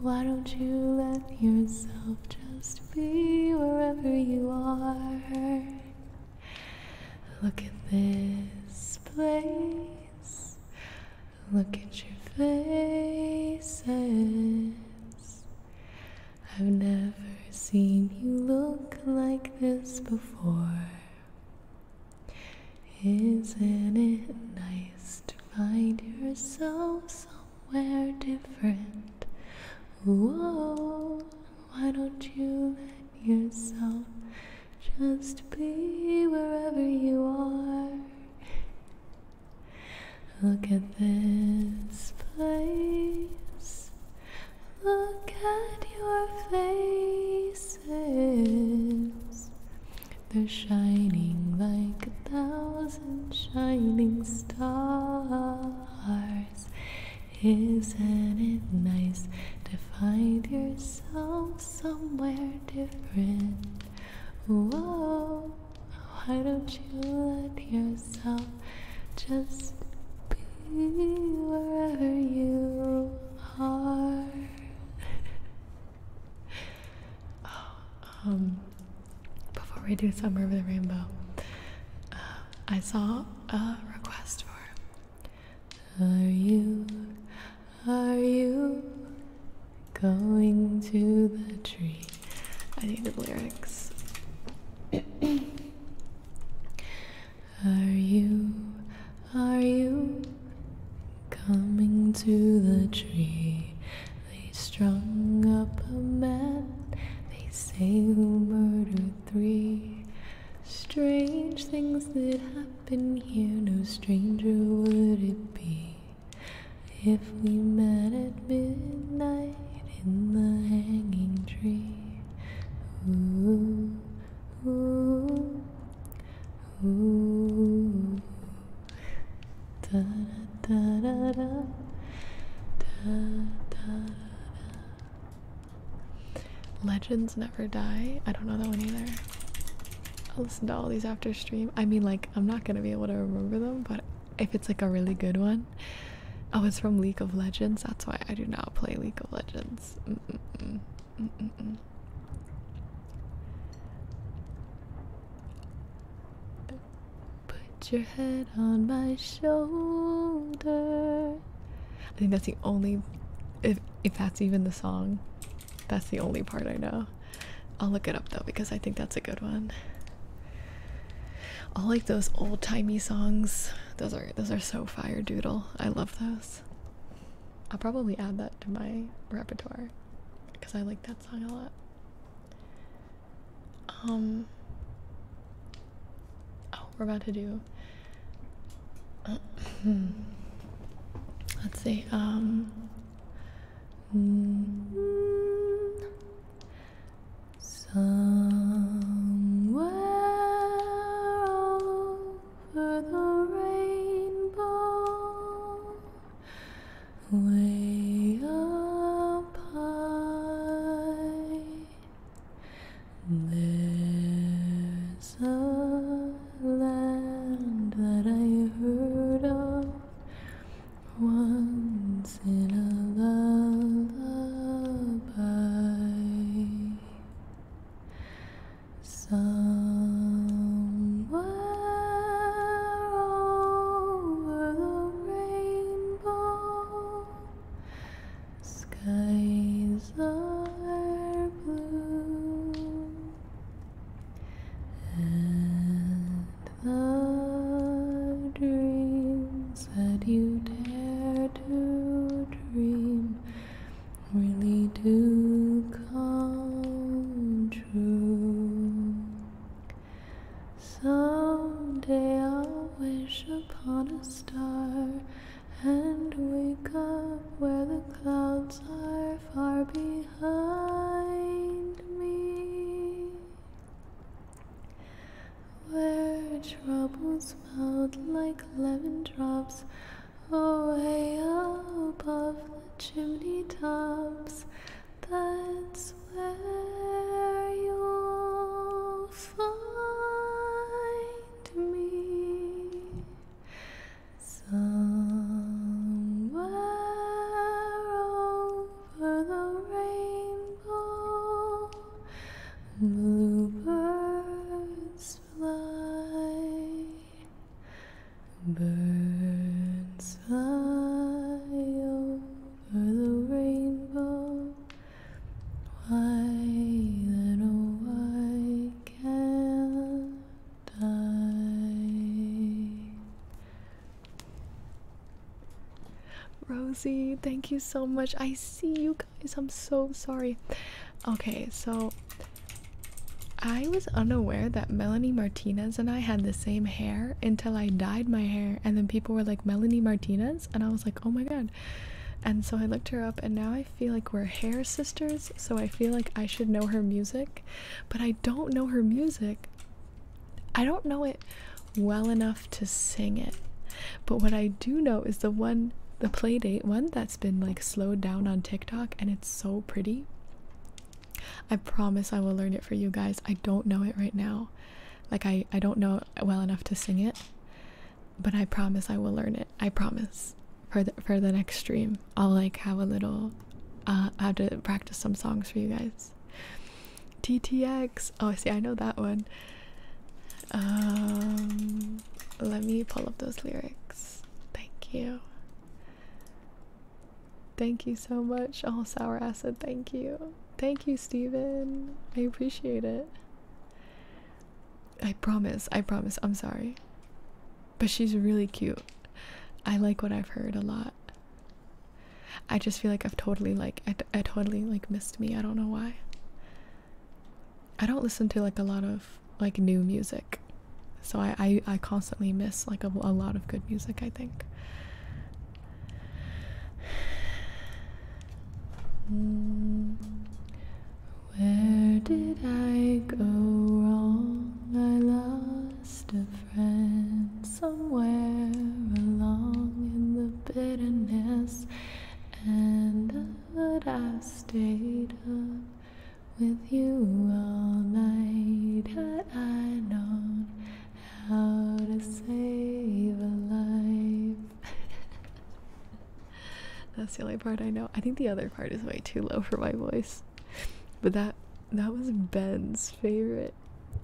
why don't you let yourself just be wherever you are? Look at this place. Look at your faces. I've never seen you look like this before. Isn't it nice to find yourself somewhere different? why don't you let yourself just be wherever you are. Look at this place. Look at your faces. They're shining like a thousand shining stars. Isn't it nice to find yourself somewhere different? why don't you let yourself just be wherever you are? oh, um, before we do Summer of the Rainbow, uh, I saw a request for are you, are you going to the tree? I need the lyrics. are you, are you coming to the tree? They strung up a man, they say who murdered three. Strange things that happen been here, no stranger would it be if we met at midnight in the hanging tree. Ooh, ooh, ooh, da da da da da da da. Legends Never Die. I don't know that one either. I'll listen to all these after stream. I mean, like, I'm not gonna be able to remember them, but if it's like a really good one, oh, it's from League of Legends. That's why I do not play League of Legends. Put your head on my shoulder. I think that's the only if if that's even the song, that's the only part I know. I'll look it up though because I think that's a good one. I like those old timey songs. Those are those are so fire doodle. I love those. I'll probably add that to my repertoire because I like that song a lot. Um. Oh, we're about to do uh, hmm. Let's see. somewhere um, over the rainbow, way up high. Hmm. There's a land that I heard of once in a lullaby. Somewhere over the rainbow skies are blue and the dreams that you dare to dream really do come true. Someday I'll wish upon a star and wake up where the clouds are far behind me. Where troubles melt like lemon drops away above the chimney tops, that's where you'll find me. Somewhere over the rainbow, bluebirds fly. Birds fly over the rainbow. Why, then, oh, why can't Rosie, thank you so much. I see you guys. I'm so sorry. Okay, so I was unaware that Melanie Martinez and I had the same hair until I dyed my hair, and then people were like, Melanie Martinez? And I was like, oh my god. And so I looked her up, and now I feel like we're hair sisters, so I feel like I should know her music, but I don't know her music. I don't know it well enough to sing it. But what I do know is the one, the Playdate one that's been like slowed down on TikTok and it's so pretty. I promise I will learn it for you guys. I don't know it right now. Like I I don't know well enough to sing it. But I promise I will learn it. I promise for the, for the next stream i'll like have a little uh I have to practice some songs for you guys ttx oh I see i know that one um let me pull up those lyrics thank you thank you so much All sour acid thank you thank you steven i appreciate it i promise i promise i'm sorry but she's really cute. I like what I've heard a lot. I just feel like I've totally like I, I totally like missed me. I don't know why. I don't listen to like a lot of like new music. So I I, I constantly miss like a, a lot of good music, I think. Hmm. Where did I go wrong? I lost a friend somewhere along in the bitterness, and but I stayed up with you all night. Had I known how to save a life. That's the only part I know. I think the other part is way too low for my voice. But that that was Ben's favorite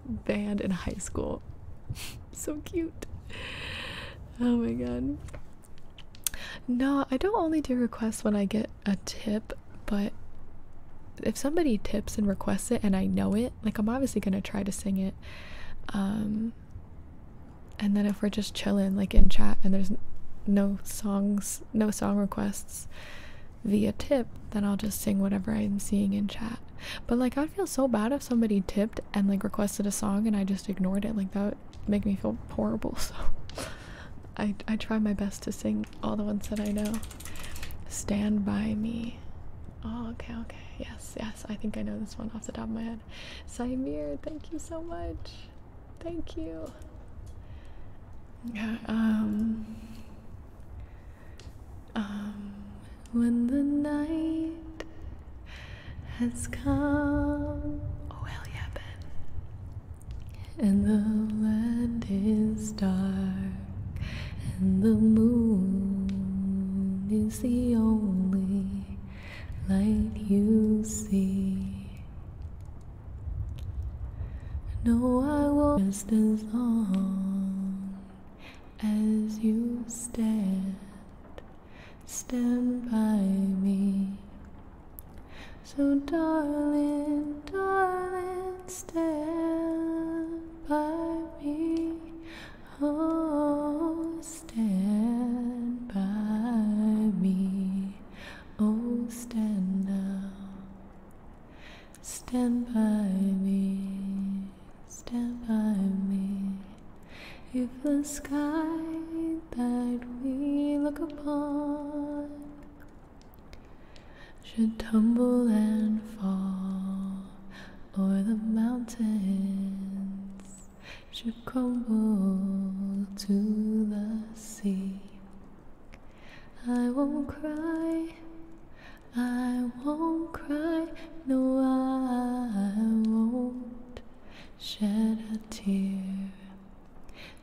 band in high school. so cute. Oh my god. No, I don't only do requests when I get a tip, but if somebody tips and requests it and I know it, like I'm obviously gonna try to sing it. Um and then if we're just chilling like in chat and there's no songs no song requests via tip, then I'll just sing whatever I'm seeing in chat. But like I'd feel so bad if somebody tipped and like requested a song and I just ignored it. Like that would make me feel horrible. So I I try my best to sing all the ones that I know. Stand by me. Oh okay, okay. Yes, yes. I think I know this one off the top of my head. Saimir, thank you so much. Thank you. Yeah, um, um, when the night has come, oh, And the land is dark, and the moon is the only light you see. No, I won't just as long as you stand, stand by me. So, darling, darling, stand by me. Oh, stand by me. Oh, stand now, stand by me, stand by me. If the sky that we look upon should tumble and fall, or the mountains should crumble to the sea. I won't cry, I won't cry, no, I won't shed a tear.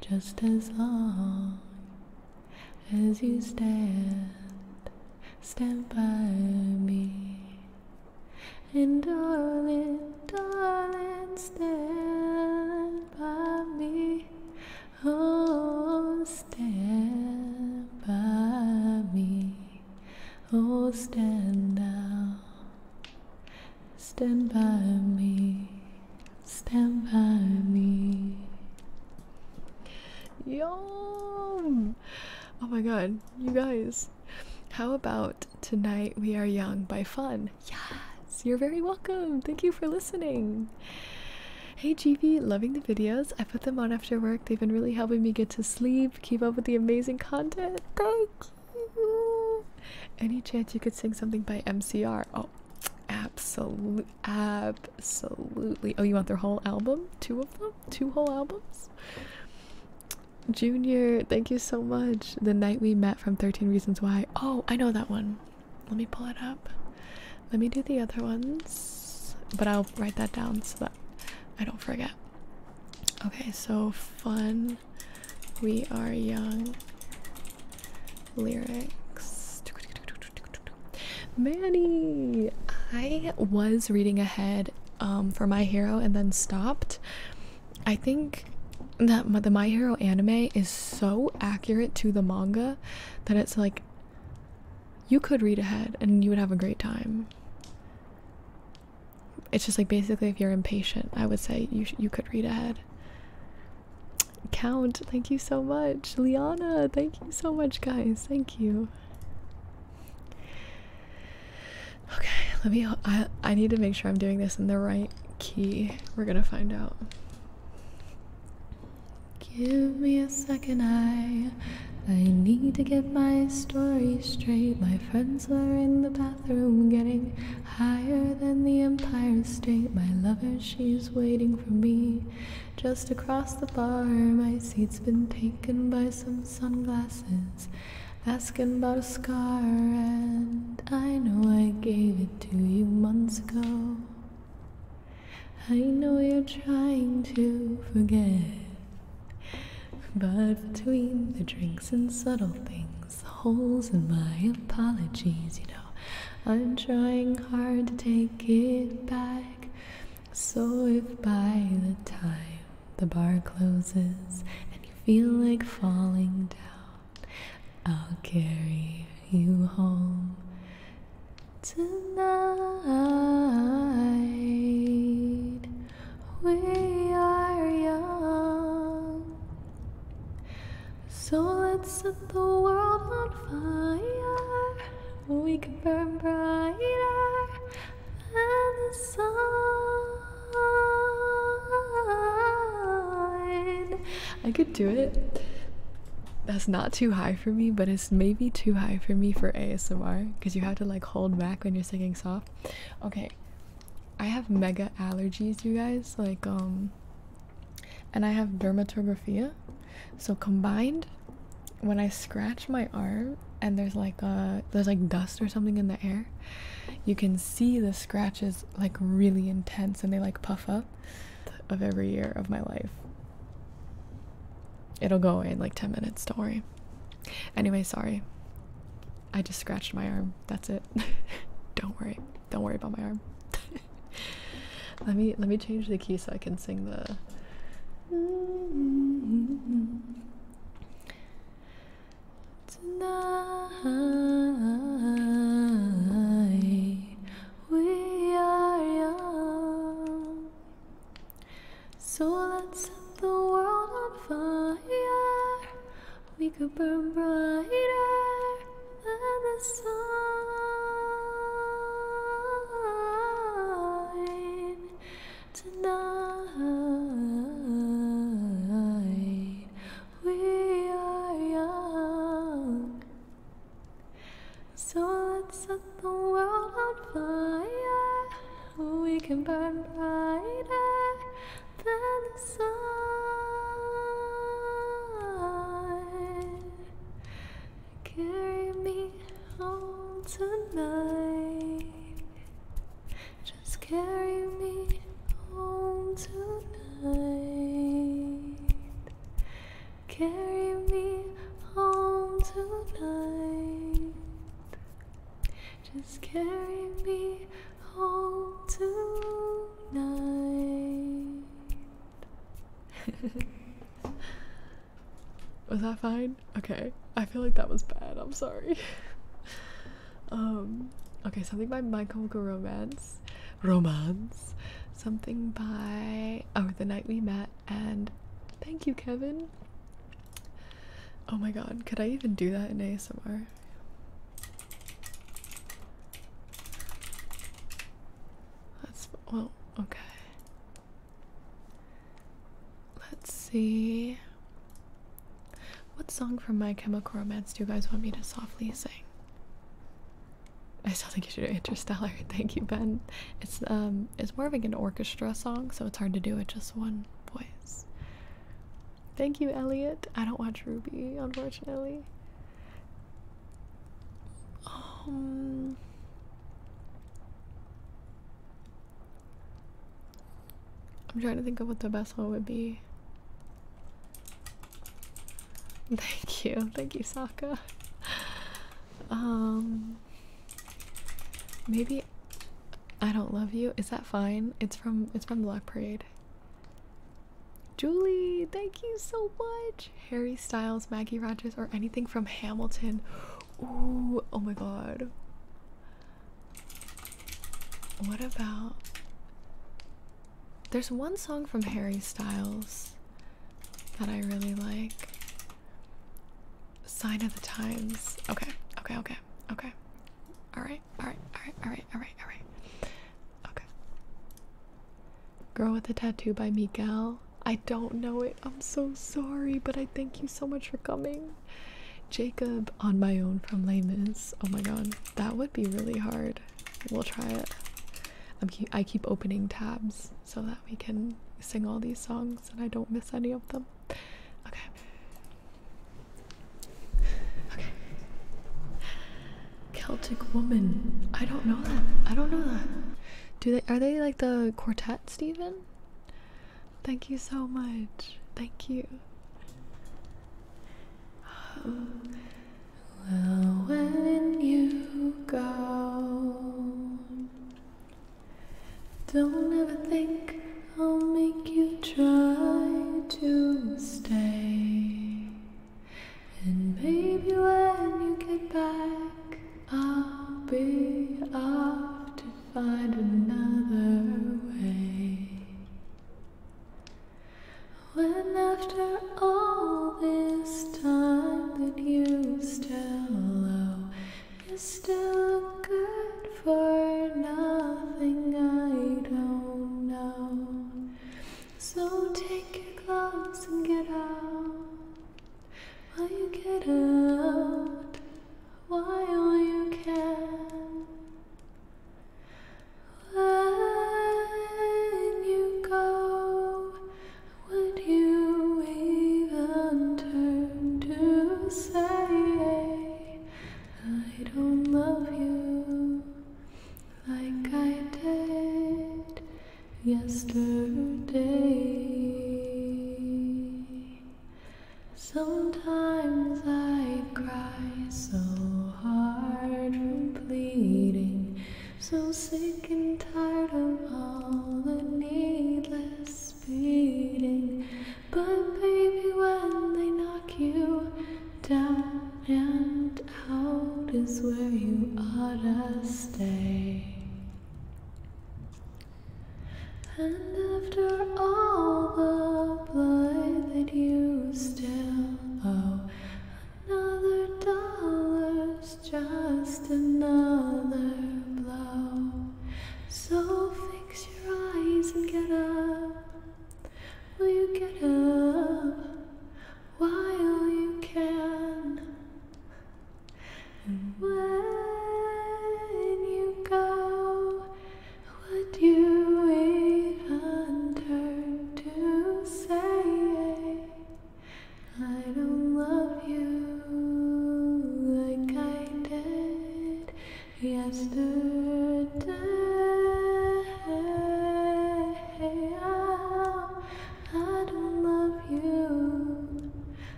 Just as long as you stand, stand by me. And darling, darling, stand by me. Oh, stand by me. Oh, stand now. Stand by me. Stand by me. Yum! Oh my god, you guys. How about Tonight We Are Young by Fun? Yes, you're very welcome. Thank you for listening. Hey GB, loving the videos. I put them on after work. They've been really helping me get to sleep. Keep up with the amazing content. Thank you. Any chance you could sing something by MCR? Oh, Absolutely. Oh, you want their whole album? Two of them? Two whole albums? Junior, thank you so much. The night we met from 13 Reasons Why. Oh, I know that one let me pull it up. Let me do the other ones, but I'll write that down so that I don't forget. Okay, so fun, we are young, lyrics. Manny! I was reading ahead um, for My Hero and then stopped. I think that the My Hero anime is so accurate to the manga that it's like you could read ahead and you would have a great time. It's just like basically if you're impatient, I would say you you could read ahead. Count, thank you so much. Liana, thank you so much guys. Thank you. Okay, let me I I need to make sure I'm doing this in the right key. We're going to find out. Give me a second eye. I need to get my story straight. My friends are in the bathroom getting higher than the Empire State. My lover, she's waiting for me just across the bar. My seat's been taken by some sunglasses asking about a scar, and I know I gave it to you months ago. I know you're trying to forget, but between the drinks and subtle things, the holes in my apologies, you know, I'm trying hard to take it back. So if by the time the bar closes and you feel like falling down, I'll carry you home tonight. We are young, so let's set the world on fire. We can burn brighter than the sun. I could do it. That's not too high for me, but it's maybe too high for me for ASMR because you have to like hold back when you're singing soft. Okay, I have mega allergies, you guys. Like, um, and I have dermatographia. So combined, when I scratch my arm and there's like a uh, there's like dust or something in the air, you can see the scratches like really intense and they like puff up of every year of my life. It'll go away in like 10 minutes, don't worry. Anyway, sorry. I just scratched my arm. That's it. don't worry. Don't worry about my arm. let me let me change the key so I can sing the Tonight we are young. So let's set the world on fire. We could burn brighter than the sun tonight. We are young. So let's set the world on fire. We can burn brighter than the sun. Carry me home tonight. Just carry me home tonight. Carry me home tonight. Just carry me home tonight. was that fine? Okay. I feel like that was bad. I'm sorry. um, okay, something by My Chemical Romance romance, something by or oh, the Night We Met and Thank You Kevin. Oh my god, could I even do that in ASMR? That's well, okay. Let's see. What song from My Chemical Romance do you guys want me to softly sing? I still think you should do Interstellar. Thank you, Ben. It's um, it's more of like an orchestra song, so it's hard to do it just one voice. Thank you, Elliot. I don't watch Ruby, unfortunately. Um, I'm trying to think of what the best one would be. Thank you, thank you, Saka. Um, maybe I don't love you. Is that fine? It's from it's from Black Parade. Julie, thank you so much. Harry Styles, Maggie Rogers, or anything from Hamilton. Ooh, oh my god. What about? There's one song from Harry Styles that I really like. Sign of the Times. Okay, okay, okay, okay. Alright, alright, alright, alright, alright, alright. Okay. Girl with a Tattoo by Miguel. I don't know it. I'm so sorry, but I thank you so much for coming. Jacob on my own from Lamus. Oh my god, that would be really hard. We'll try it. I'm keep, I keep opening tabs so that we can sing all these songs and I don't miss any of them. Okay. Okay. Celtic woman. I don't know that. I don't know that. Do they are they like the quartet, Stephen? Thank you so much. Thank you. Um, well, when you go, don't ever think I'll make you try to stay. And maybe when you get back, I'll be off to find another way. When after all this time that you still owe is still good for nothing, I don't know. So take your gloves and get out. Will you get out while you can? When you go, would you even turn to say I don't love you like I did yesterday? Sometimes I cry so hard from bleeding. So sick and tired of all the needless beating. But baby, when they knock you down and out is where you oughta stay. And after all the blood that you still owe, Another dollar's just another blow. So fix your eyes and get up. Will you get up while you can? And when you go, would you even dare to say? I don't love you like I did yesterday. Oh, I don't love you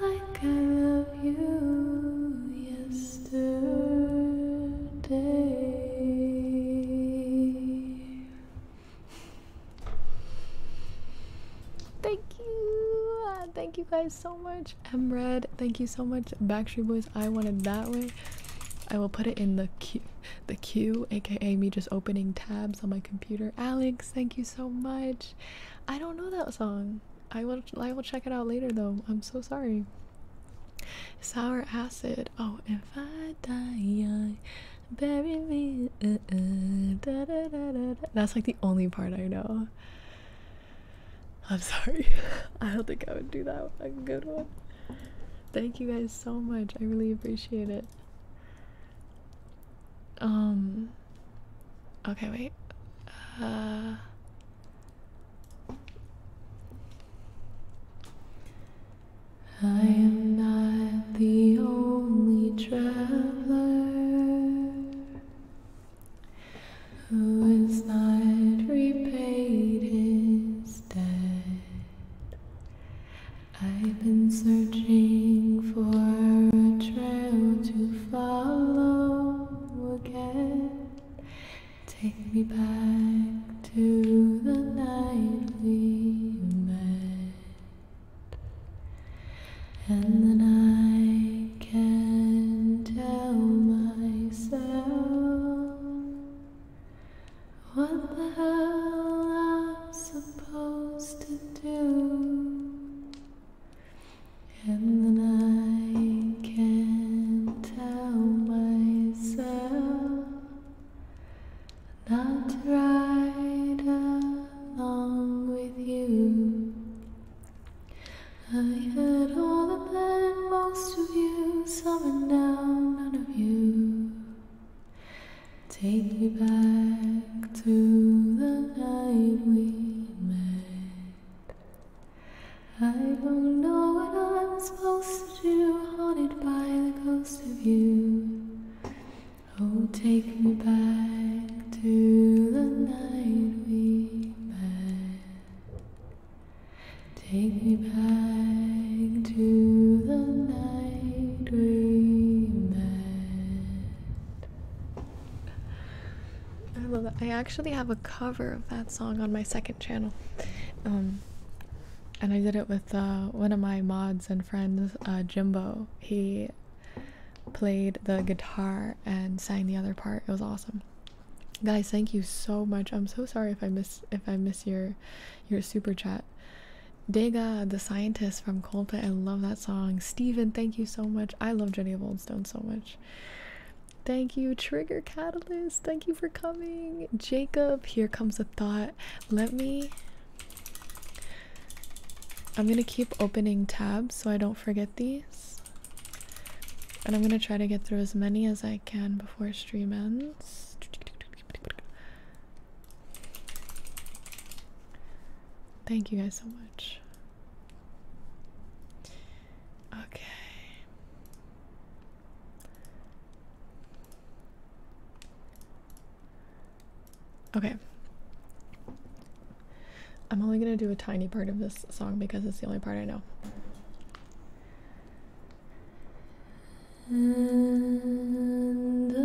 like I love you yesterday. Thank you. Uh, thank you guys so much. Mred, thank you so much. Backstreet Boys, I wanted that way. I will put it in the queue, the queue, aka me just opening tabs on my computer. Alex, thank you so much. I don't know that song. I will I will check it out later though. I'm so sorry. Sour acid. Oh, if I die, I uh, uh, That's like the only part I know. I'm sorry. I don't think I would do that. A good one. Thank you guys so much. I really appreciate it. Um. Okay, wait. Uh. I am not the only traveler who is not repaid his debt. I've been searching for a trail to follow again. Take me back to the night we met. And then I can not tell myself what the hell I'm supposed to do. And then I can not tell myself not to ride along with you. I had all the men, most of you, some and now none of you. Take me back to the night we met. I don't know what I'm supposed to do, haunted by the ghost of you. Oh, take me back to the night we met. Take me back to the night we met. I love that. I actually have a cover of that song on my second channel. Um, and I did it with uh, one of my mods and friends, uh, Jimbo. He played the guitar and sang the other part. It was awesome. Guys, thank you so much. I'm so sorry if I miss if I miss your your super chat. Dega, the scientist from Coldplay, I love that song. Stephen, thank you so much. I love Jenny of Oldstone so much. Thank you, Trigger Catalyst. Thank you for coming. Jacob, here comes a thought. Let me I'm going to keep opening tabs so I don't forget these. And I'm going to try to get through as many as I can before stream ends. Thank you guys so much. Okay. Okay. I'm only going to do a tiny part of this song because it's the only part I know. And I,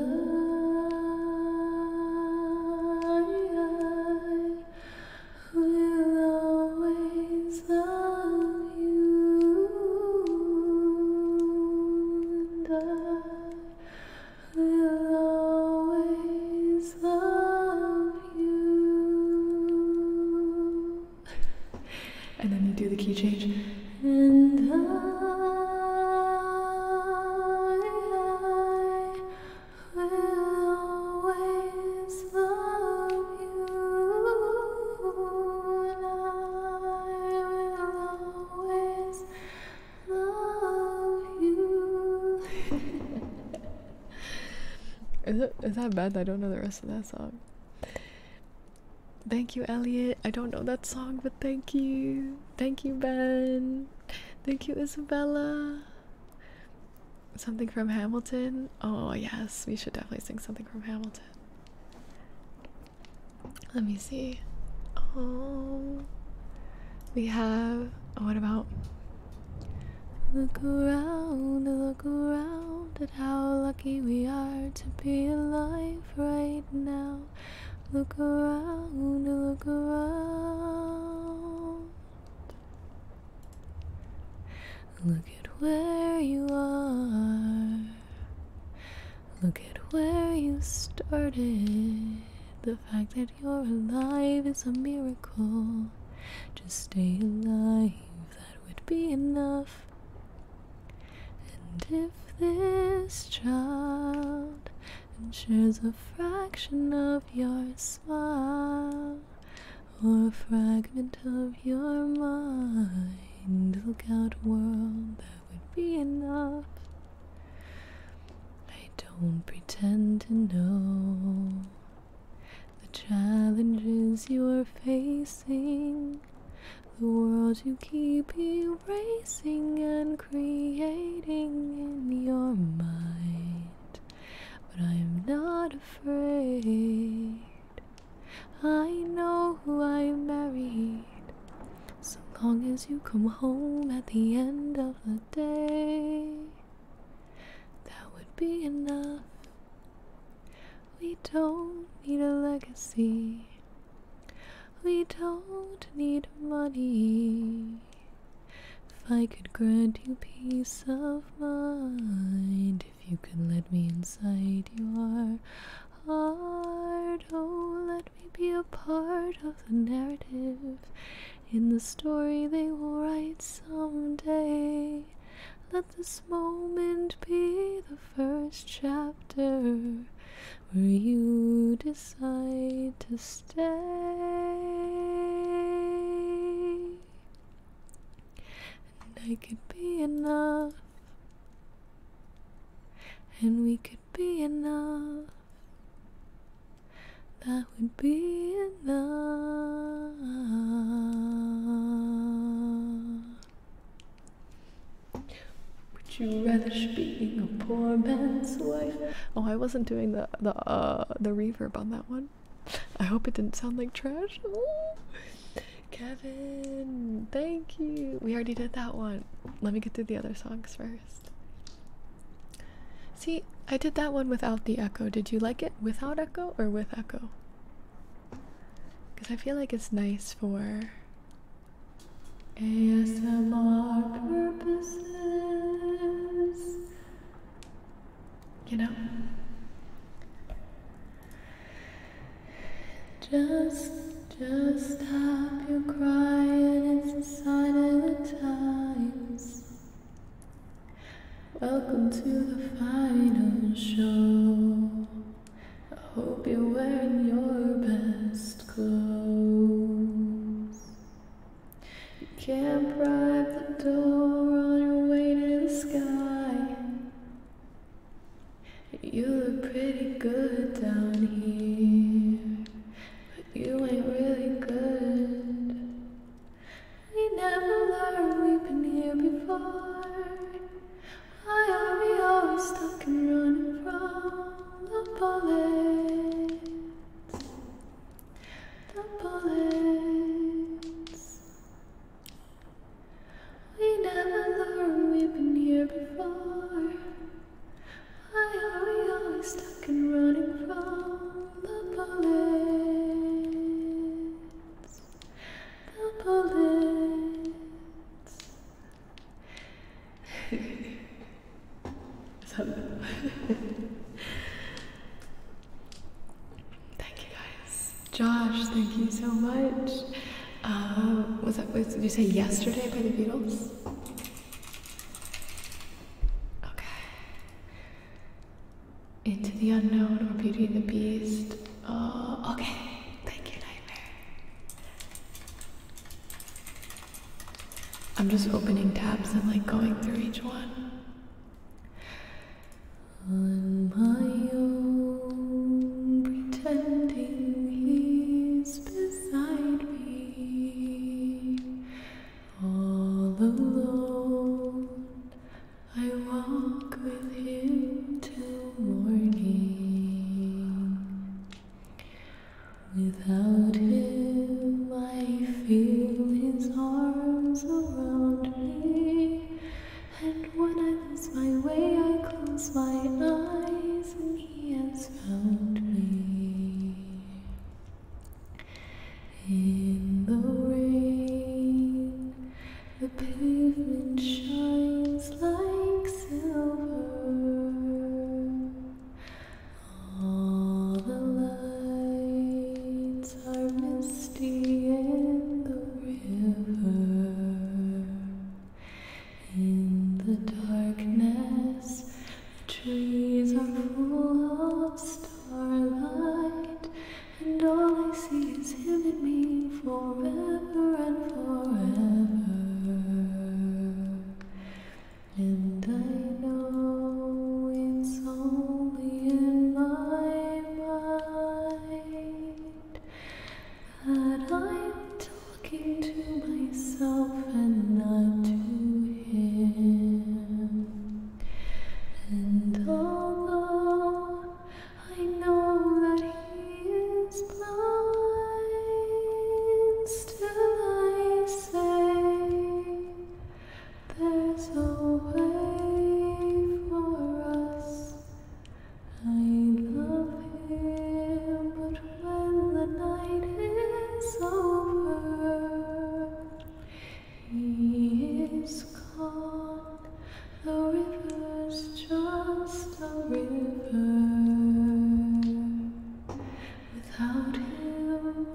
will always love you and then you do the key change. And I, will always love you. I will always love you. is, it, is that bad that I don't know the rest of that song? Thank you, Elliot. I don't know that song, but thank you. Thank you, Ben. Thank you, Isabella. Something from Hamilton. Oh, yes, we should definitely sing something from Hamilton. Let me see. Oh, we have. Oh, what about? Look around, look around at how lucky we are to be alive right now. Look around, look around. Look at where you are. Look at where you started. The fact that you're alive is a miracle. Just stay alive, that would be enough. And if this child shares a fraction of your smile or a fragment of your mind, look out, world would be enough. I don't pretend to know the challenges you're facing, the world you keep erasing and creating in your mind. But I'm not afraid. I know who I married. So long as you come home at the end of the day, that would be enough. We don't need a legacy, we don't need money. If I could grant you peace of mind, if you could let me inside your heart, oh, let be a part of the narrative in the story they will write someday. Let this moment be the first chapter where you decide to stay. And I could be enough, and we could could be enough. That would be enough. Would you relish being a poor man's wife? Oh, I wasn't doing the the uh, the reverb on that one. I hope it didn't sound like trash. Kevin, thank you. We already did that one. Let me get through the other songs first. See, I did that one without the echo. Did you like it without echo or with echo? Because I feel like it's nice for ASMR purposes. You know? Just, just stop you crying silent times. Welcome to the final show. I hope you're wearing your best clothes. You can't bribe the door on your way to the sky. You look pretty good down here. But you ain't really good. We never learned we've been here before. Why are we always stuck and running from the bullets? The bullets. We never learned we've been here before. Why are we always stuck and running from the bullets? The bullets. thank you guys. Josh, thank you so much. Uh, was that was, did you say yesterday by the Beatles? Okay. Into the Unknown or Beauty and the Beast. Uh, okay. Thank you, Nightmare. I'm just opening tabs and like going through each one. On my own, pretending he's beside me. All alone, I walk with him till morning. Without him, I feel his arms around me. And when I lose my way, I close my eyes, and he has found me. In the rain, the pavement shines like silver. All the lights are misty in the river. In the darkness, Trees are full of starlight, and all I see is him and me forever and forever. And I know it's only in my mind that I'm talking to myself and not to him him. And although I know that he is blind, still I say there's a way for us. I love him, but when the night is over. He is gone. The river's just a river. Without him,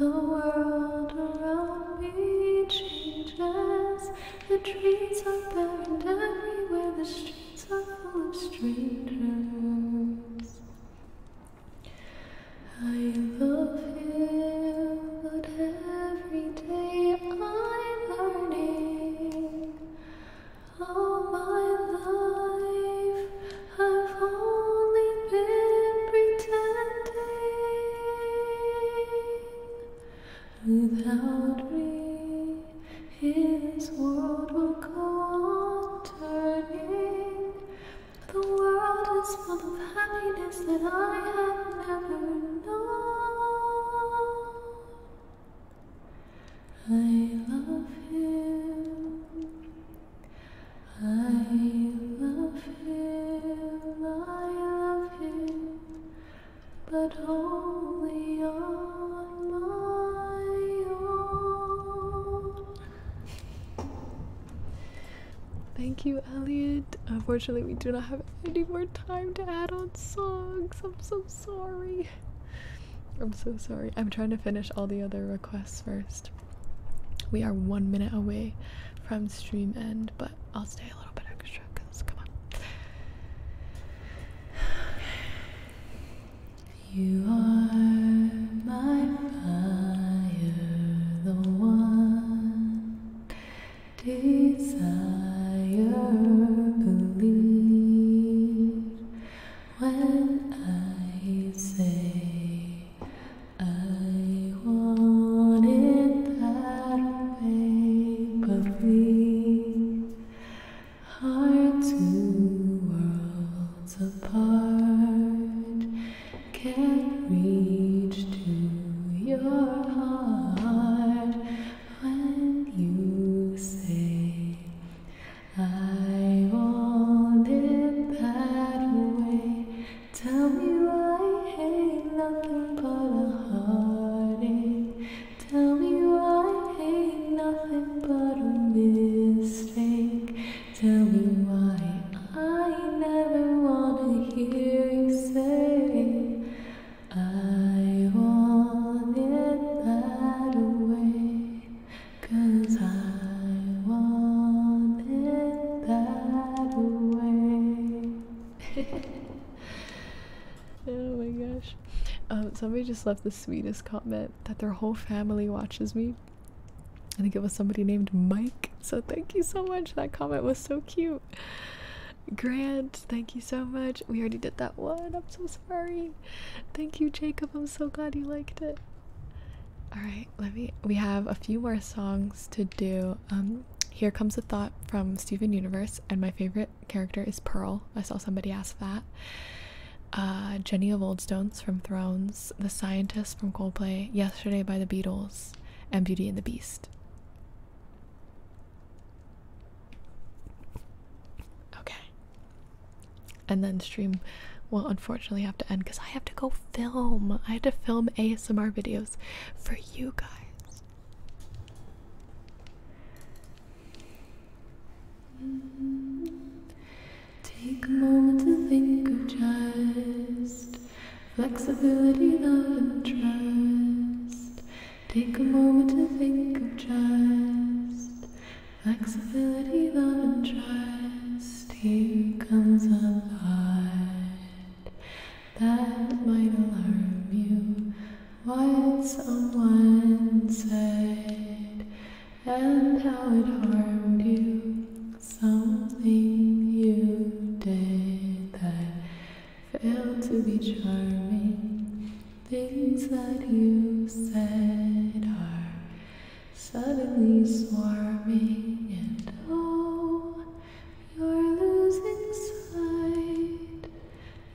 the world around me changes. The trees are barren everywhere. The streets are full of strangers. I love you, but every day I'm learning. All my life I've only been pretending. Without me, his world will go on turning. The world is full of happiness that I have never known. I love him. I love him. I love him. But only on my own. Thank you, Elliot. Unfortunately, we do not have any more time to add on songs. I'm so sorry. I'm so sorry. I'm trying to finish all the other requests first. We are one minute away from stream end, but I'll stay a little bit extra because come on. You are my Higher, the one desire, believe when I say I want it that way. we are two worlds apart can not reach to your heart when you say, I want it that way. Tell me I hate nothing but a heartache. Tell me I hate nothing but a mistake. Tell me why I never wanna hear you say I want that way I want that way Oh my gosh. Um, somebody just left the sweetest comment that their whole family watches me I think it was somebody named Mike. So thank you so much. That comment was so cute. Grant, thank you so much. We already did that one. I'm so sorry. Thank you, Jacob. I'm so glad you liked it. Alright, let me we have a few more songs to do. Um Here Comes a Thought from Steven Universe, and my favorite character is Pearl. I saw somebody ask that. Uh Jenny of Oldstones from Thrones, the Scientist from Coldplay, Yesterday by the Beatles, and Beauty and the Beast. Okay. And then stream will unfortunately have to end because I have to go film. I have to film ASMR videos for you guys. Take a moment to think of just flexibility, love, and trust. Take a moment to think of just flexibility, love, and trust. Here comes a thought that might alarm you. What someone said and how it harmed you. Something you did that failed to be charming. Things that you said are suddenly swarming, and oh, you're losing sight,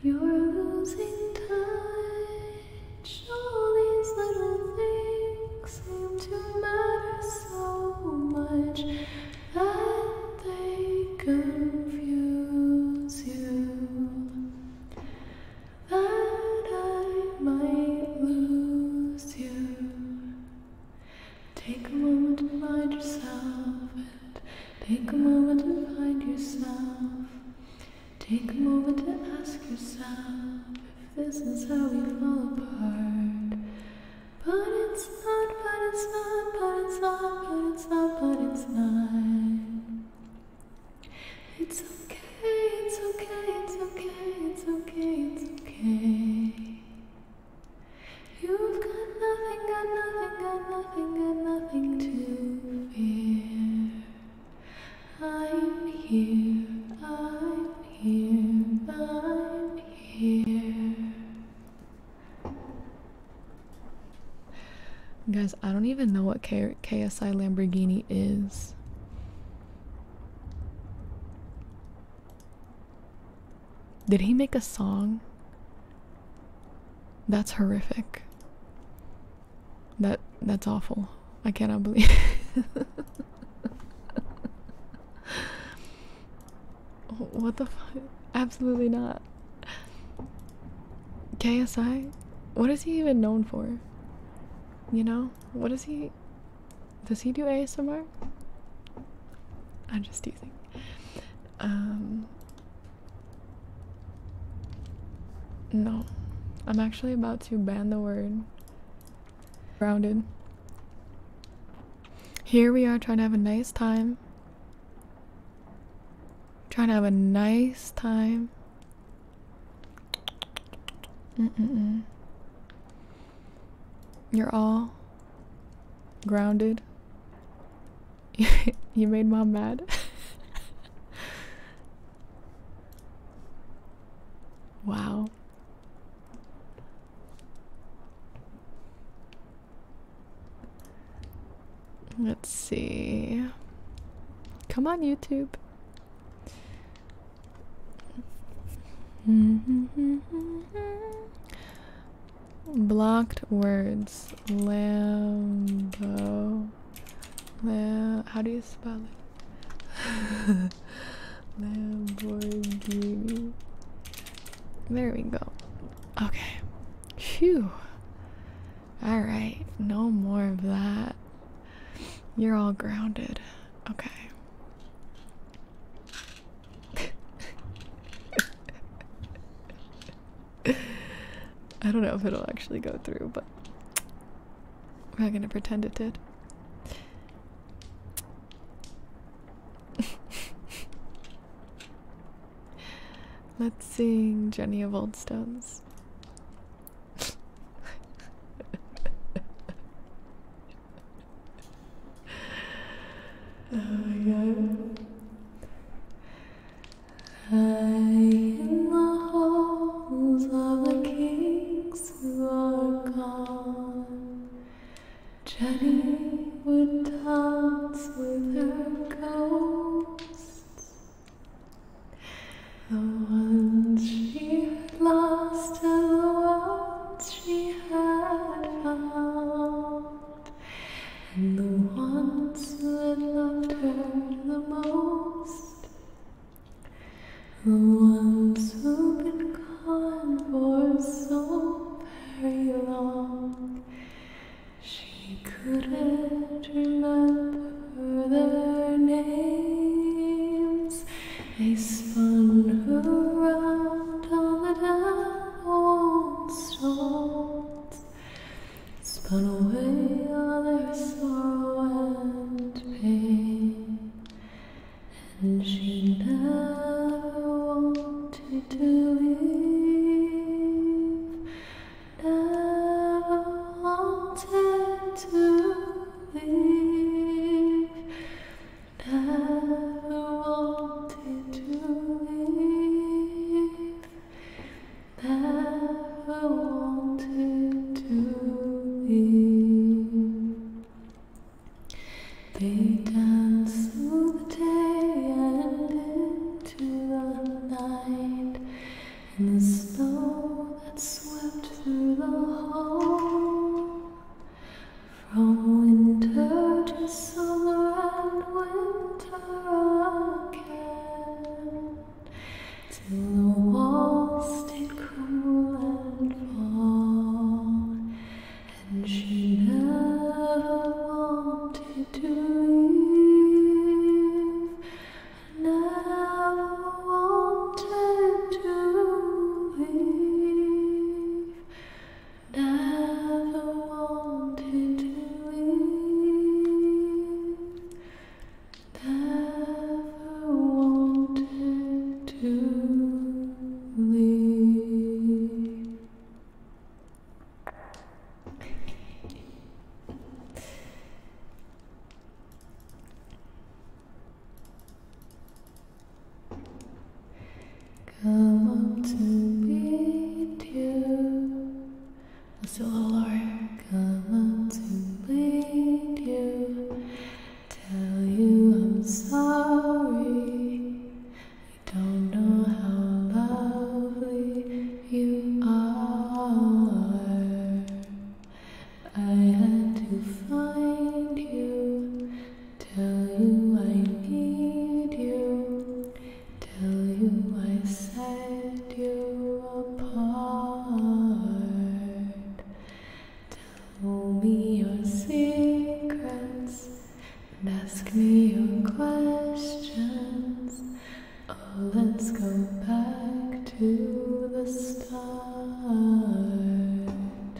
you're losing touch. All these little things seem to matter so much that they confuse you. That I might lose you. Take a moment to find yourself, and take a moment to find yourself. Take a moment to ask yourself this is how we fall apart. But it's not, but it's not, but it's not, but it's not, but it's not. It's okay, it's okay, it's okay, it's okay, it's okay. You've got nothing, got nothing, got nothing, got nothing to fear. I'm here, I'm Guys, I don't even know what KSI Lamborghini is. Did he make a song? That's horrific. That that's awful. I cannot believe what the fuck? Absolutely not. KSI? What is he even known for? You know? What is he? Does he do ASMR? I'm just teasing. Um. No. I'm actually about to ban the word grounded. Here we are trying to have a nice time. Trying to have a nice time. Mm -mm -mm. You're all grounded. you made mom mad. wow. Let's see. Come on, YouTube. Blocked words. Lambo. Lam How do you spell it? Lamborghini. There we go. Okay. Phew. Alright. No more of that. You're all grounded. Okay. I don't know if it'll actually go through, but we're not gonna pretend it did. Let's sing Jenny of Old Stones. oh my god. High in the halls of the kings who are gone, Jenny would dance with her ghosts, the ones she had lost and the ones she had found, and the ones that loved her the most. The ones who had gone for so very long. She couldn't remember their names. They spun her around on the old stones, spun away all their sorrow and pain and she never wanted to leave, never wanted to leave, never wanted to leave, never wanted to leave. They danced through the day and into the night and the snow that swept through the hall. From winter to summer and winter again, till the walls did cool and fall and she never wanted to leave, never wanted to leave, never wanted to leave, never wanted to. Come up to meet you. Let's do a little lower. Come up to meet you. Tell you I'm sorry. I don't know how lovely you are. I had to find you. Tell you I need you. Tell you I set you apart. Hold me your secrets and ask me your questions. Oh, let's go back to the start.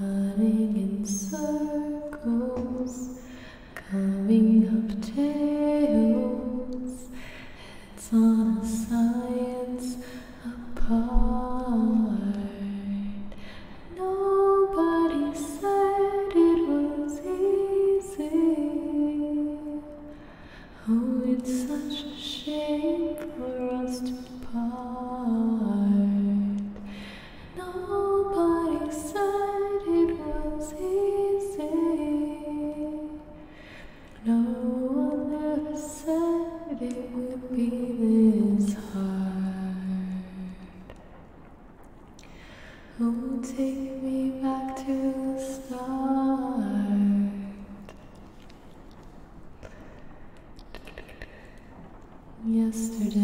Running in circles, coming up tails, It's on a science apart. Nobody said it was easy. Oh, it's such a shame for us to part. Nobody said it was easy. No one ever said it would be this hard. Who'll take me back to the start. Yesterday,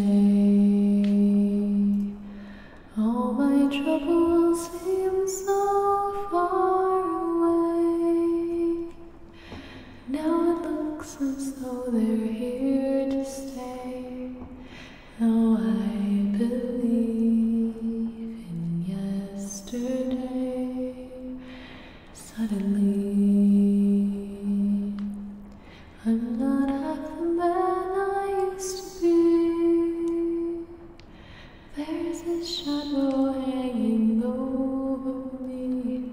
all my troubles seem so far away. Now it looks as though they're here to stay. Now I believe in yesterday. Suddenly, I'm not half the man I used to be. There's a shadow hanging over me.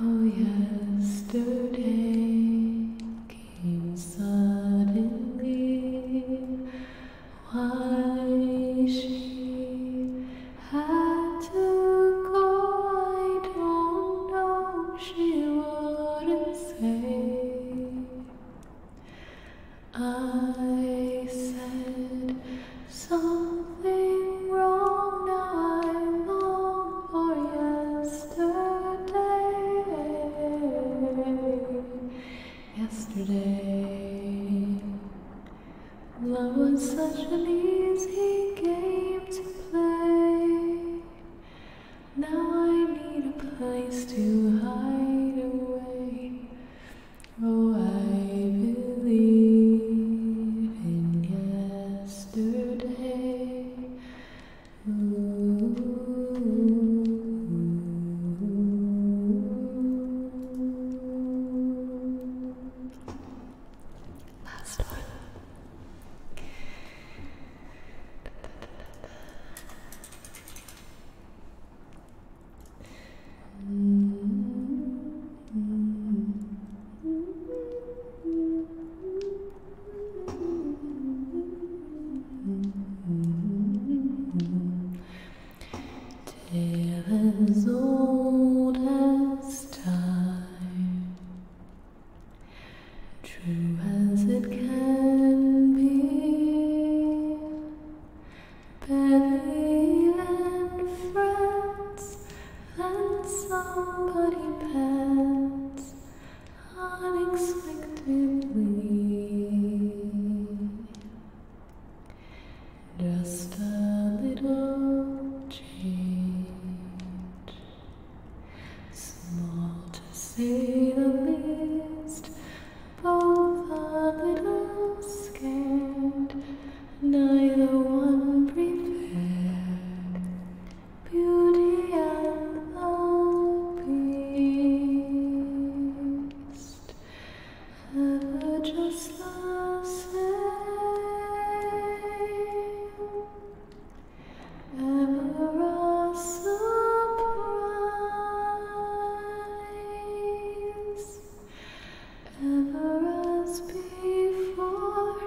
Oh, yesterday came suddenly. Why she had to go, I don't know. She wouldn't say. I said so wrong now. I long for yesterday. Yesterday, love was such an easy game to play. Now I need a place to hide away. Oh, I believe in yes yesterday. Ooh, Last one. Till as old as time, true as it can be, Betty and friends and somebody pants unexpectedly. Just a little change, small to say the least, both a little scared, neither one prepared beauty and the beast, ever just the same, ever a surprise, ever as before.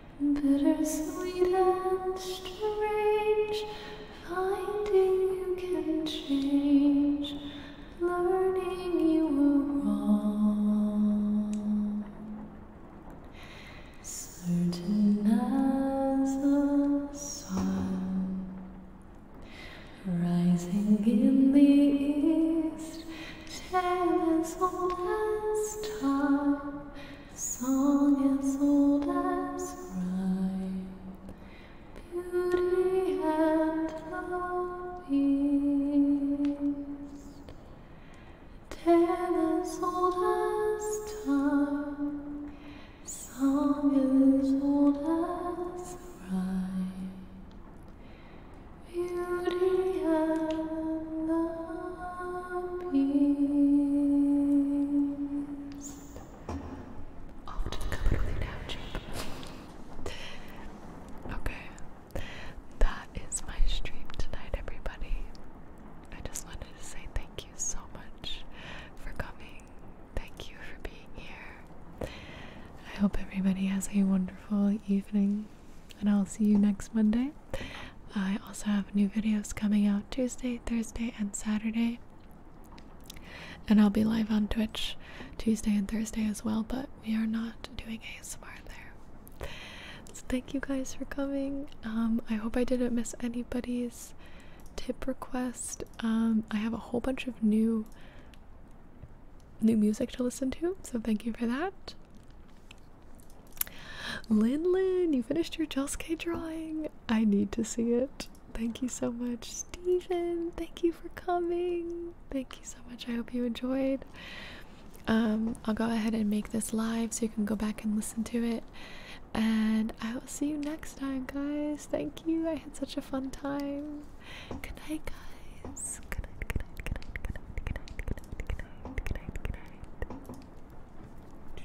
Bittersweet and strange, finding you can change, learning you were wrong. Certain as the sun, rising in the east, tale old as time. Song as old as rhyme, beauty and love east. Tale as old as time, song as old as rhyme, beauty and love east. Okay. That is my stream tonight, everybody. I just wanted to say thank you so much for coming. Thank you for being here. I hope everybody has a wonderful evening, and I'll see you next Monday. I also have new videos coming out Tuesday, Thursday, and Saturday. And I'll be live on Twitch Tuesday and Thursday as well, but we are not doing a smart there. So thank you guys for coming. Um, I hope I didn't miss anybody's tip request. Um, I have a whole bunch of new new music to listen to, so thank you for that. Lin Lin, you finished your Jelske drawing. I need to see it. Thank you so much, Stephen. Thank you for coming. Thank you so much. I hope you enjoyed. Um, I'll go ahead and make this live so you can go back and listen to it. And I will see you next time, guys. Thank you. I had such a fun time. Good night, guys. good night, good night, good night, good night, good night, good night, good night, good night. Good night.